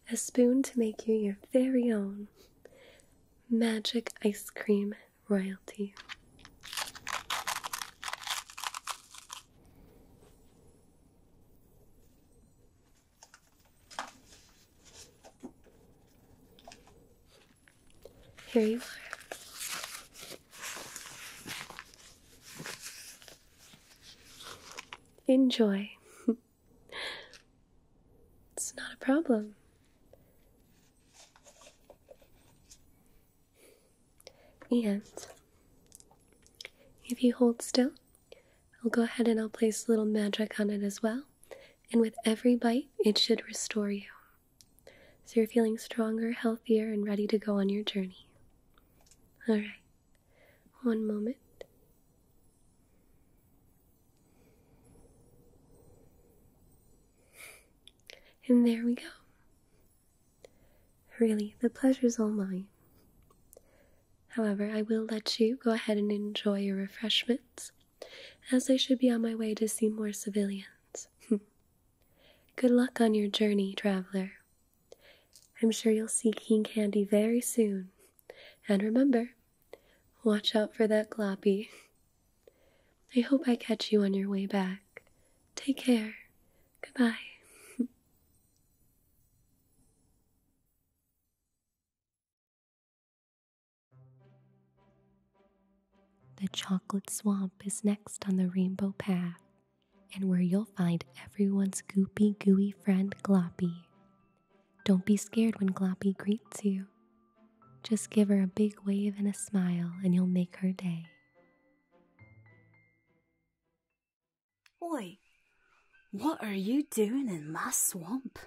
a spoon to make you your very own magic ice cream royalty. Here you are. Enjoy. it's not a problem. And if you hold still, I'll go ahead and I'll place a little magic on it as well. And with every bite, it should restore you. So you're feeling stronger, healthier, and ready to go on your journey. All right, one moment. And there we go. Really, the pleasure's all mine. However, I will let you go ahead and enjoy your refreshments, as I should be on my way to see more civilians. Good luck on your journey, traveler. I'm sure you'll see King Candy very soon. And remember, watch out for that gloppy. I hope I catch you on your way back. Take care. Goodbye. The chocolate swamp is next on the rainbow path, and where you'll find everyone's goopy, gooey friend Gloppy. Don't be scared when Gloppy greets you. Just give her a big wave and a smile, and you'll make her day. Oi, what are you doing in my swamp?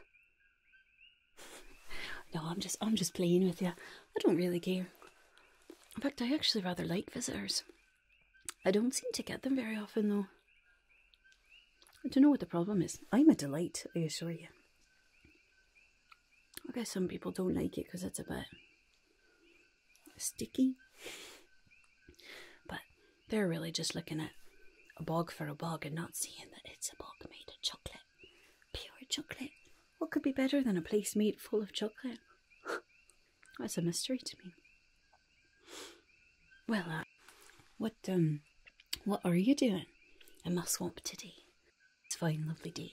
no, I'm just I'm just playing with you. I don't really care. In fact, I actually rather like visitors. I don't seem to get them very often though. I don't know what the problem is. I'm a delight, I assure you. I guess some people don't like it because it's a bit sticky. But they're really just looking at a bog for a bog and not seeing that it's a bog made of chocolate. Pure chocolate. What could be better than a place made full of chocolate? That's a mystery to me. Well, uh, what um, what are you doing in my swamp today? It's a fine, lovely day.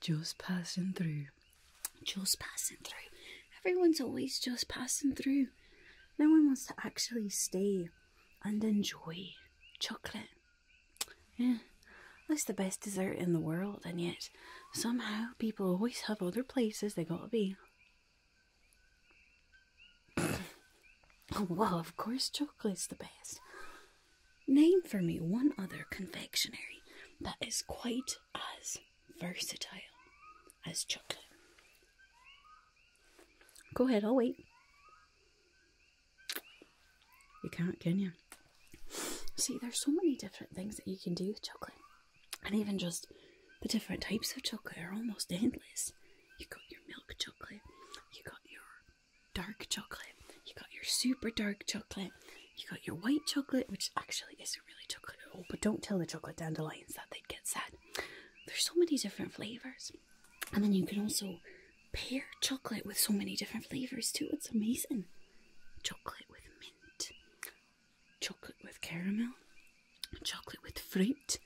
Just passing through just passing through. Everyone's always just passing through. No one wants to actually stay and enjoy chocolate. Yeah, that's the best dessert in the world, and yet somehow people always have other places they gotta be. Oh, well, of course, chocolate's the best. Name for me one other confectionery that is quite as versatile as chocolate. Go ahead, I'll wait. You can't, can you? See, there's so many different things that you can do with chocolate. And even just the different types of chocolate are almost endless. You got your milk chocolate, you got your dark chocolate, you got your super dark chocolate, you got your white chocolate, which actually is really chocolate at all, but don't tell the chocolate dandelions that they'd get sad. There's so many different flavours. And then you can also pair chocolate with so many different flavours too. It's amazing. Chocolate with mint, chocolate with caramel, chocolate with fruit,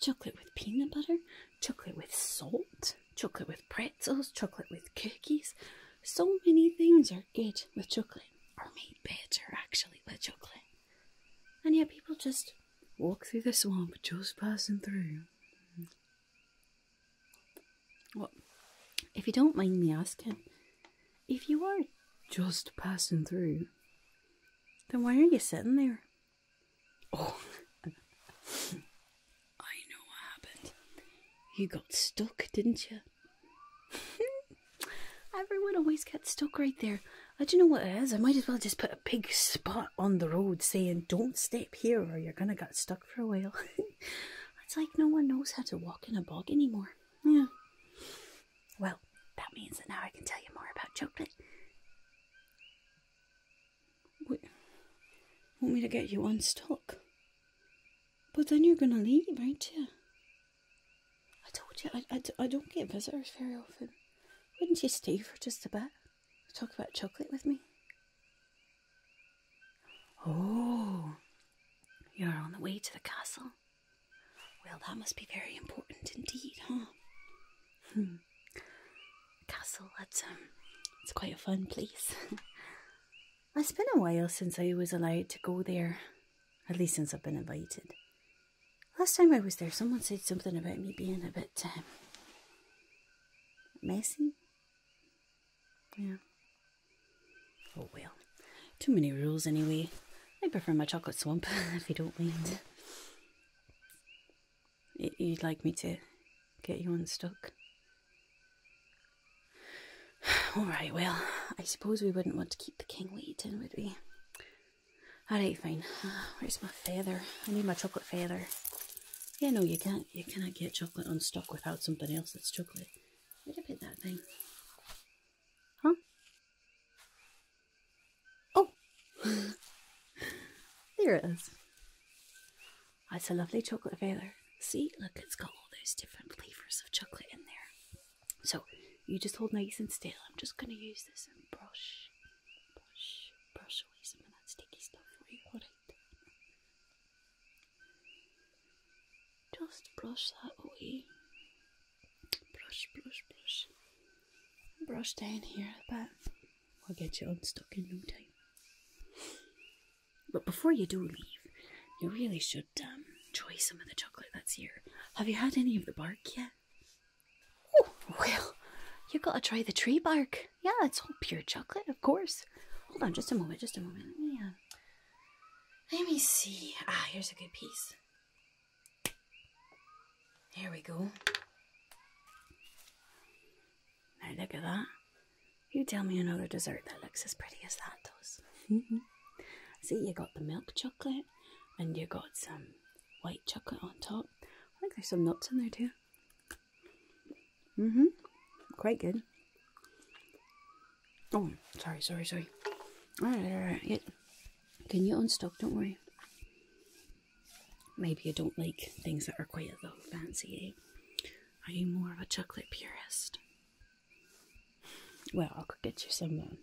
chocolate with peanut butter, chocolate with salt, chocolate with pretzels, chocolate with cookies. So many things are good with chocolate are made better actually by chocolate. And yet people just walk through the swamp just passing through. Well, if you don't mind me asking, if you are just passing through, then why are you sitting there? Oh, I know what happened. You got stuck, didn't you? Everyone always gets stuck right there. I uh, do you know what it is? I might as well just put a big spot on the road saying, don't step here or you're going to get stuck for a while. it's like no one knows how to walk in a bog anymore. Yeah. Well, that means that now I can tell you more about chocolate. want me to get you unstuck? But then you're going to leave, aren't you? I told you, I, I, don't get visitors very often. Wouldn't you stay for just a bit? Talk about chocolate with me? Oh, you're on the way to the castle. Well, that must be very important indeed, huh? Hmm. Castle, that's um, it's quite a fun place. it's been a while since I was allowed to go there at least since I've been invited. Last time I was there, someone said something about me being a bit um, messy. Yeah. Oh well. Too many rules anyway. I prefer my chocolate swamp, if you don't mind. You'd like me to get you unstuck? All right, well, I suppose we wouldn't want to keep the king waiting, would we? me. Alright, fine. Ah, where's my feather? I need my chocolate feather. Yeah, no, you can't. You cannot get chocolate unstuck without something else that's chocolate. Where'd I that thing? Huh? Oh! there it is. It's a lovely chocolate feather. See? Look, it's got all those different flavours of chocolate in there. So you just hold nice and still. I'm just going to use this and brush, brush, brush away some of that sticky stuff for you. Right? Just brush that away. Brush, brush, brush. Brush down here a bit. We'll get you unstuck in no time. But before you do leave, you really should. Um, enjoy some of the chocolate that's here. Have you had any of the bark yet? Oh, well, you have gotta try the tree bark. Yeah, it's all pure chocolate, of course. Hold on just a moment, just a moment. Let me, uh, let me see. Ah, here's a good piece. Here we go. Now look at that. You tell me another dessert that looks as pretty as that does. see, you got the milk chocolate, and you got some white chocolate on top. I think there's some nuts in there too. Mm-hmm. Quite good. Oh, sorry, sorry, sorry. Alright, alright. Yeah. Can you unstock? Don't worry. Maybe you don't like things that are quite a little fancy, eh? Are you more of a chocolate purist? Well, I'll get you some um,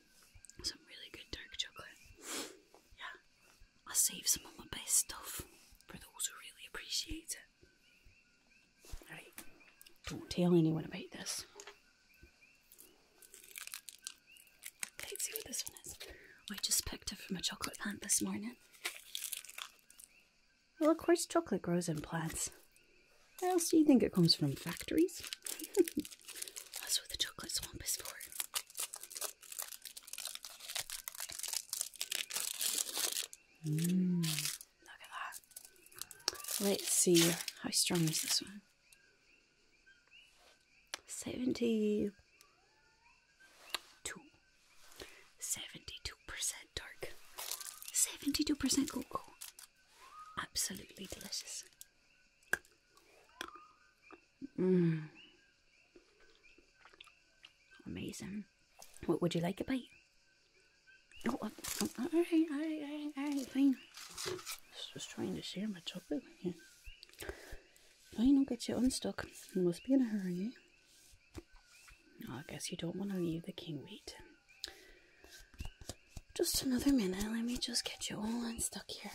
some really good dark chocolate. Yeah, I'll save some of my best stuff for those who really appreciate it. Alright, don't tell anyone about this. let's see what this one is. I just picked it from a chocolate plant this morning. Well, of course, chocolate grows in plants. Where else do you think it comes from? Factories? That's what the chocolate swamp is for. Mm. look at that. Let's see how strong is this one. 72 72 percent dark 72 percent cocoa absolutely delicious Mm. Amazing. What would you like a bite? Oh, uh, oh, oh uh, alright, alright, alright, alright, Just was trying to share my chocolate with don't get you unstuck. You must be in a hurry. Eh? Oh, I guess you don't want to leave the king wait. Just another minute. Let me just get you all unstuck here.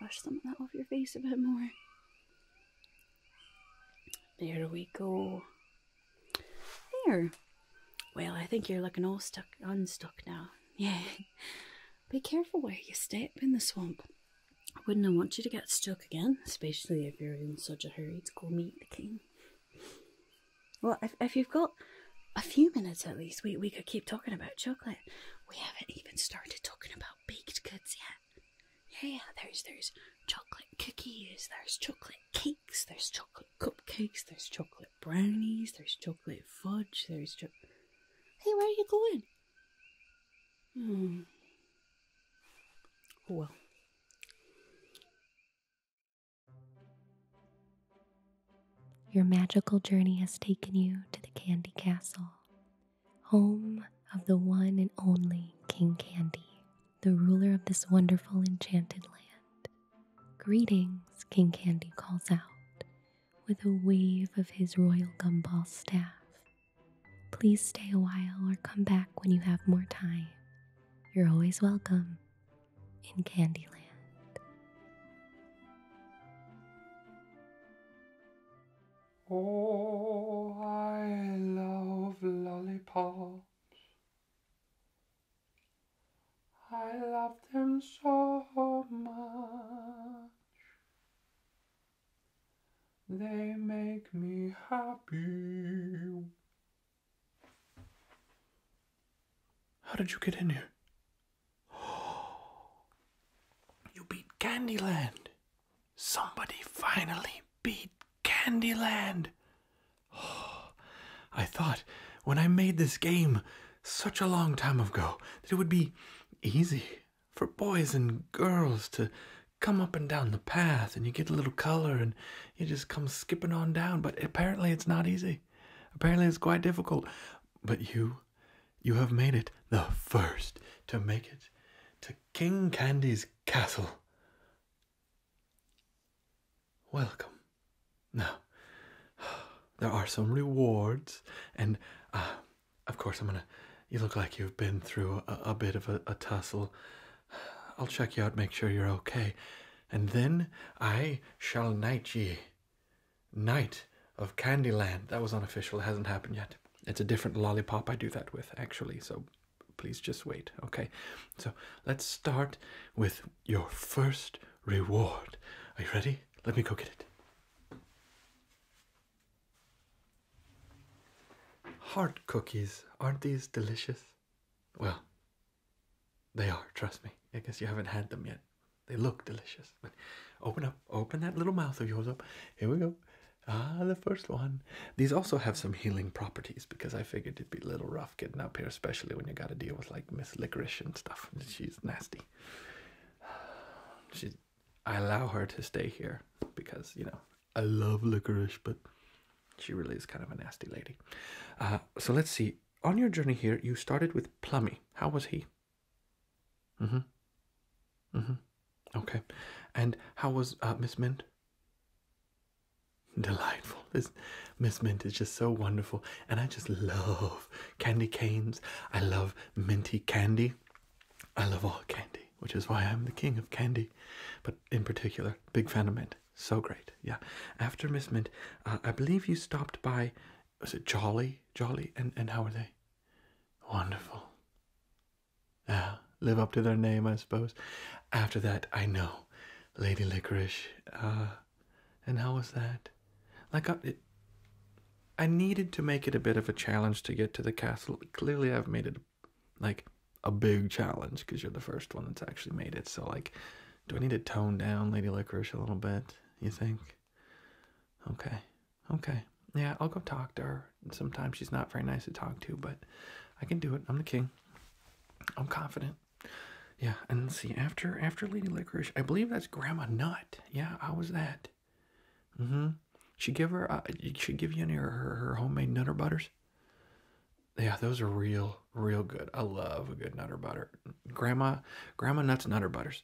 brush some of that off your face a bit more. There we go. There. Well, I think you're looking all stuck, unstuck now. Yeah. Be careful where you step in the swamp. wouldn't I want you to get stuck again, especially if you're in such a hurry to go meet the king. Well, if, if you've got a few minutes at least, we, we could keep talking about chocolate. We haven't even started talking about baked goods yet. Yeah, yeah, there's there's chocolate cookies, there's chocolate cakes, there's chocolate cupcakes, there's chocolate brownies, there's chocolate fudge, there's cho- Hey, where are you going? Hmm. Oh, well. Your magical journey has taken you to the Candy Castle, home of the one and only King Candy, the ruler of this wonderful enchanted land. Greetings, King Candy calls out with a wave of his royal gumball staff. Please stay a while or come back when you have more time. You're always welcome in Candyland. Oh, I love lollipops. I love them so much. They make me happy. How did you get in here? You beat Candyland. Somebody finally beat Candyland. I thought when I made this game such a long time ago that it would be easy for boys and girls to come up and down the path and you get a little color and you just come skipping on down. But apparently it's not easy. Apparently it's quite difficult. But you you have made it the first to make it to King Candy's castle. Welcome. Now, there are some rewards, and uh, of course, I'm gonna. You look like you've been through a, bit of a tussle. I'll check you out, make sure you're okay, and then I shall knight ye. Night of Candyland. That was unofficial. hasn't happened yet. It's a different lollipop I do that with, actually. So please just wait. Okay. So let's start with your first reward. Are you ready? Let me go get it. Hard cookies. Aren't these delicious? Well, they are, trust me. I guess you haven't had them yet. They look delicious. Open up, open that little mouth of yours up. Here we go. Ah, the first one. These also have some healing properties because I figured it'd be a little rough getting up here, especially when you got to deal with like Miss Licorice and stuff. She's nasty. She's. I allow her to stay here because you know I love Licorice, but she really is kind of a nasty lady. Uh, so let's see. On your journey here, you started with Plummy. How was he? Mhm. Mhm. Okay. And how was uh, Miss Mint? Delightful. This Miss Mint is just so wonderful, and I just love candy canes. I love minty candy. I love all candy, which is why I'm the king of candy. But in particular, big fan of mint. So great. Yeah. After Miss Mint, uh, I believe you stopped by was it Jolly? Jolly? And, and how are they? Wonderful. Yeah, live up to their name, I suppose. After that, I know. Lady Licorice. Uh, and how was that? Like, uh, I, I needed to make it a bit of a challenge to get to the castle. Clearly, I've made it like a big challenge because you're the first one that's actually made it. So, like, do I need to tone down Lady Licorice a little bit? You think? Okay. Okay. Yeah, I'll go talk to her. Sometimes she's not very nice to talk to, but I can do it. I'm the king. I'm confident. Yeah, and see. After after Lady Licorice, I believe that's Grandma Nut. Yeah, how was that? Mm-hmm. She give her. Uh, she give you any her, her homemade nutter butters. Yeah, those are real real good. I love a good nutter butter. Grandma Grandma Nut's nutter butters.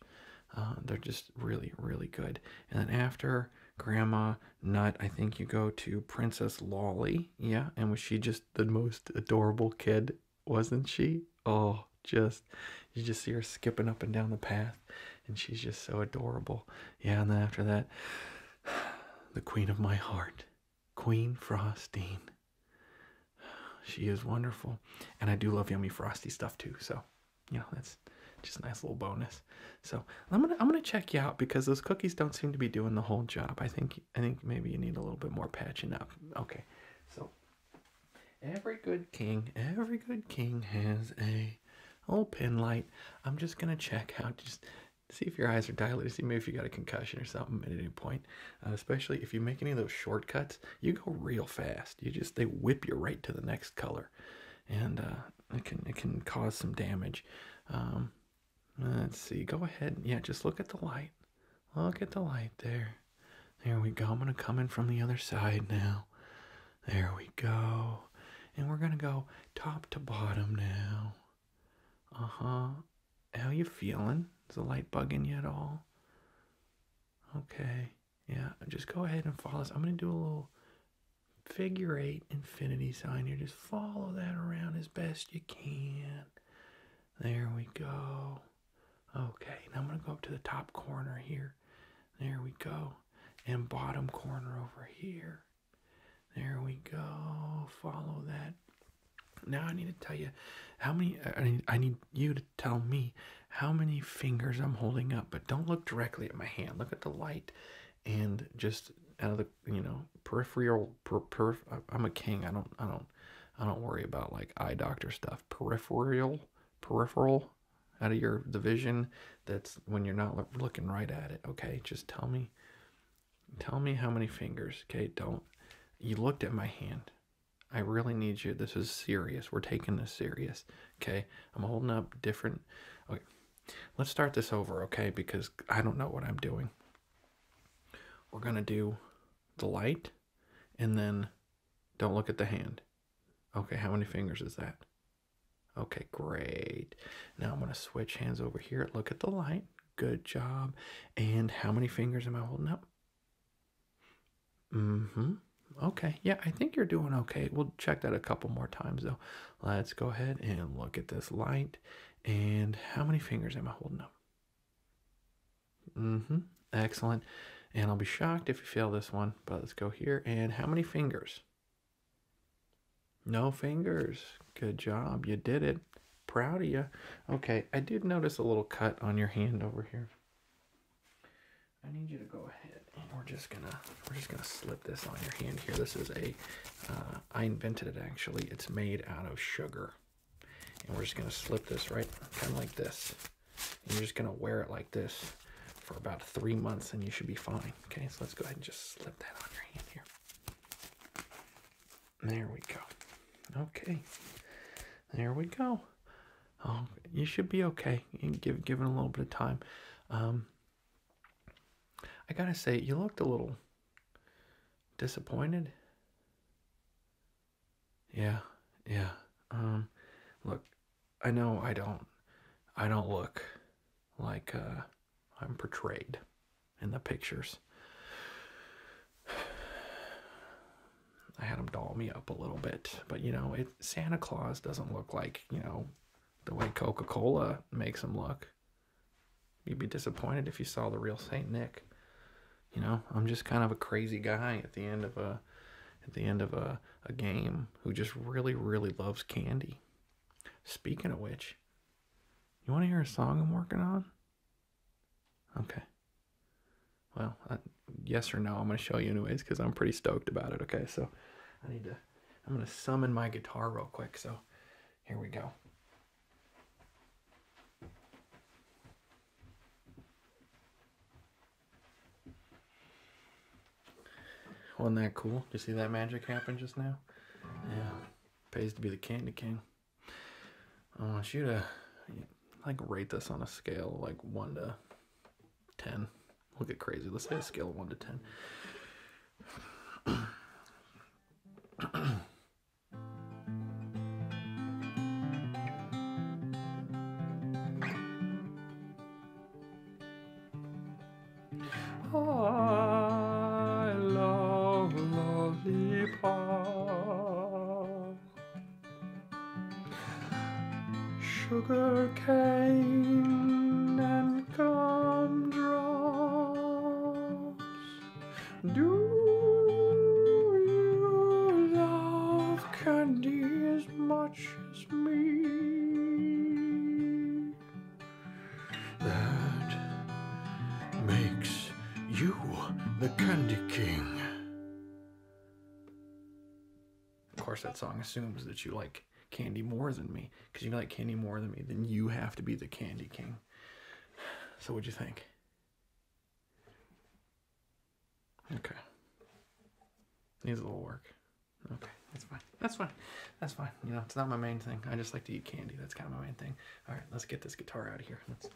Uh, they're just really, really good. And then after Grandma Nut, I think you go to Princess Lolly. Yeah, and was she just the most adorable kid, wasn't she? Oh, just you just see her skipping up and down the path, and she's just so adorable. Yeah, and then after that, the Queen of My Heart, Queen Frostine. She is wonderful. And I do love yummy frosty stuff too. So, you know, that's just a nice little bonus. So I'm gonna I'm gonna check you out because those cookies don't seem to be doing the whole job. I think I think maybe you need a little bit more patching up. Okay. So every good king, every good king has a old pin light. I'm just gonna check out just see if your eyes are dilated, see maybe if you got a concussion or something at any point. Uh, especially if you make any of those shortcuts, you go real fast. You just they whip you right to the next color, and uh, it can it can cause some damage. Um, let's see. Go ahead. Yeah, just look at the light. Look at the light there. There we go. I'm gonna come in from the other side now. There we go. And we're gonna go top to bottom now. Uh huh. How you feeling? Is the light bugging you at all? Okay. Yeah, just go ahead and follow this. I'm going to do a little figure eight infinity sign here. Just follow that around as best you can. There we go. Okay, now I'm going to go up to the top corner here. There we go. And bottom corner over here. There we go. Follow that. Now I need to tell you how many, I need, I need you to tell me how many fingers I'm holding up, but don't look directly at my hand. Look at the light and just out of the, you know, peripheral, I'm a king. I don't, I don't, I don't worry about like eye doctor stuff. Peripheral, peripheral out of your vision. That's when you're not looking right at it. Okay. Just tell me, tell me how many fingers. Okay. Don't, you looked at my hand. I really need you. This is serious. We're taking this serious. Okay. I'm holding up different. Okay. Let's start this over. Okay. Because I don't know what I'm doing. We're going to do the light and then don't look at the hand. Okay. How many fingers is that? Okay. Great. Now I'm going to switch hands over here. Look at the light. Good job. And how many fingers am I holding up? Mm-hmm. Okay. Yeah, I think you're doing okay. We'll check that a couple more times though. Let's go ahead and look at this light. And how many fingers am I holding up? Mm-hmm. Excellent. And I'll be shocked if you fail this one, but let's go here. And how many fingers? No fingers. Good job. You did it. Proud of you. Okay, I did notice a little cut on your hand over here. I need you to go ahead and we're just gonna we're just gonna slip this on your hand here. This is a uh, I invented it actually. It's made out of sugar, and we're just gonna slip this right kind of like this. you're just gonna wear it like this for about three months, and you should be fine. Okay, so let's go ahead and just slip that on your hand here. There we go. Okay, there we go um, you should be okay. You give give a little bit of time. Um, I gotta say, you looked a little disappointed. Yeah, yeah. Um, look, I know I don't, I don't look like uh, I'm portrayed in the pictures. I had him doll me up a little bit, but you know, it Santa Claus doesn't look like you know the way Coca Cola makes them look. You'd be disappointed if you saw the real Saint Nick. You know, I'm just kind of a crazy guy at the end of a at the end of a, a game who just really, really loves candy. Speaking of which, you want to hear a song I'm working on? Okay. Well, yes or no, I'm going to show you anyways because I'm pretty stoked about it. Okay, so I need to, I'm going to summon my guitar real quick. So here we go. Wasn't that cool? Did you see that magic happen just now? Yeah. Pays to be the candy king. I want you to like rate this on a scale like one to 10. We'll get crazy. Let's say a scale of 1 to 10. I love lollipop. Sugar cane and gumdrops. Do you love candy as much as me? That makes you the Candy King. Of course, that song assumes that you like candy more than me. Because you like candy more than me, then you have to be the candy king. So, what'd you think? Okay. Needs a little work. Okay, that's fine. That's fine. That's fine. You know, it's not my main thing. I just like to eat candy. That's kind of my main thing. All right, let's get this guitar out of here. Let's.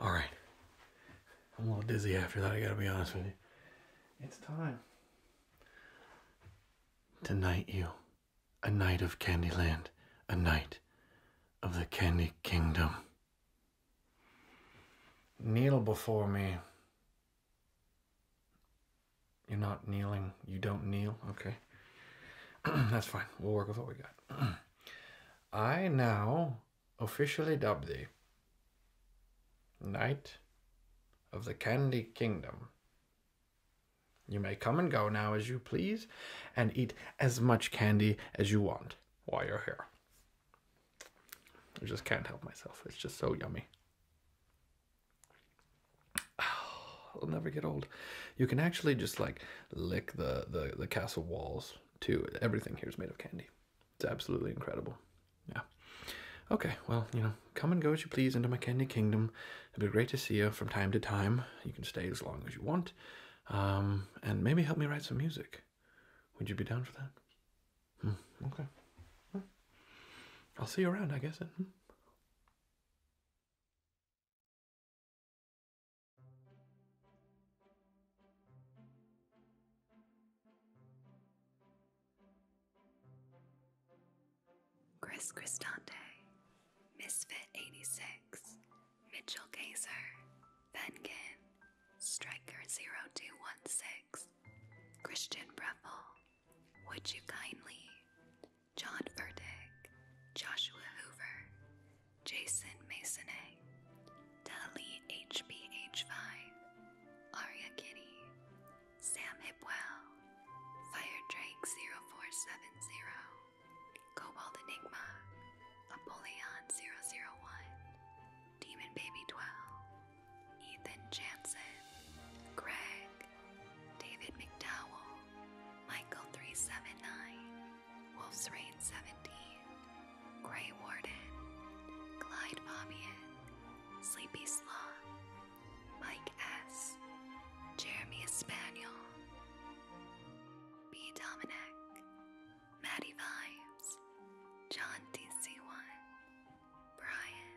All right. I'm a little dizzy after that, I gotta be honest with you. It's time tonight. you. A knight of Candyland, a knight of the Candy Kingdom. Kneel before me. You're not kneeling. You don't kneel. Okay. That's fine. We'll work with what we got. I now officially dub thee Knight of the Candy Kingdom. You may come and go now as you please and eat as much candy as you want while you're here. I just can't help myself. It's just so yummy. Oh. I'll never get old. You can actually just like lick the, the, castle walls too. Everything here is made of candy. It's absolutely incredible. Yeah. Okay, well, you know, come and go as you please into my candy kingdom. It'd be great to see you from time to time. You can stay as long as you want. Um, and maybe help me write some music. Would you be down for that? Hmm, okay. I'll see you around, I guess. Hmm? Chris Cristante, Misfit86, Mitchell Gazer, Venkin, Striker0216, Christian Breffel, Would You Kindly, John Verdick, Joshua Hoover, Jason Masonay, Dali HBH5, Aria Kitty, Sam Hipwell, Fire Drake 0470, Cobalt Enigma, Apollyon 001, Demon Baby 12, Ethan Jansen, Greg, David McDowell, Michael 379, Wolf's Rain seventy, Grey Warden, Clyde Fabian, Sleepy Sloth, Mike S., Jeremy Espaniel, B. Dominic, Maddie Vibes, John DC1, Brian.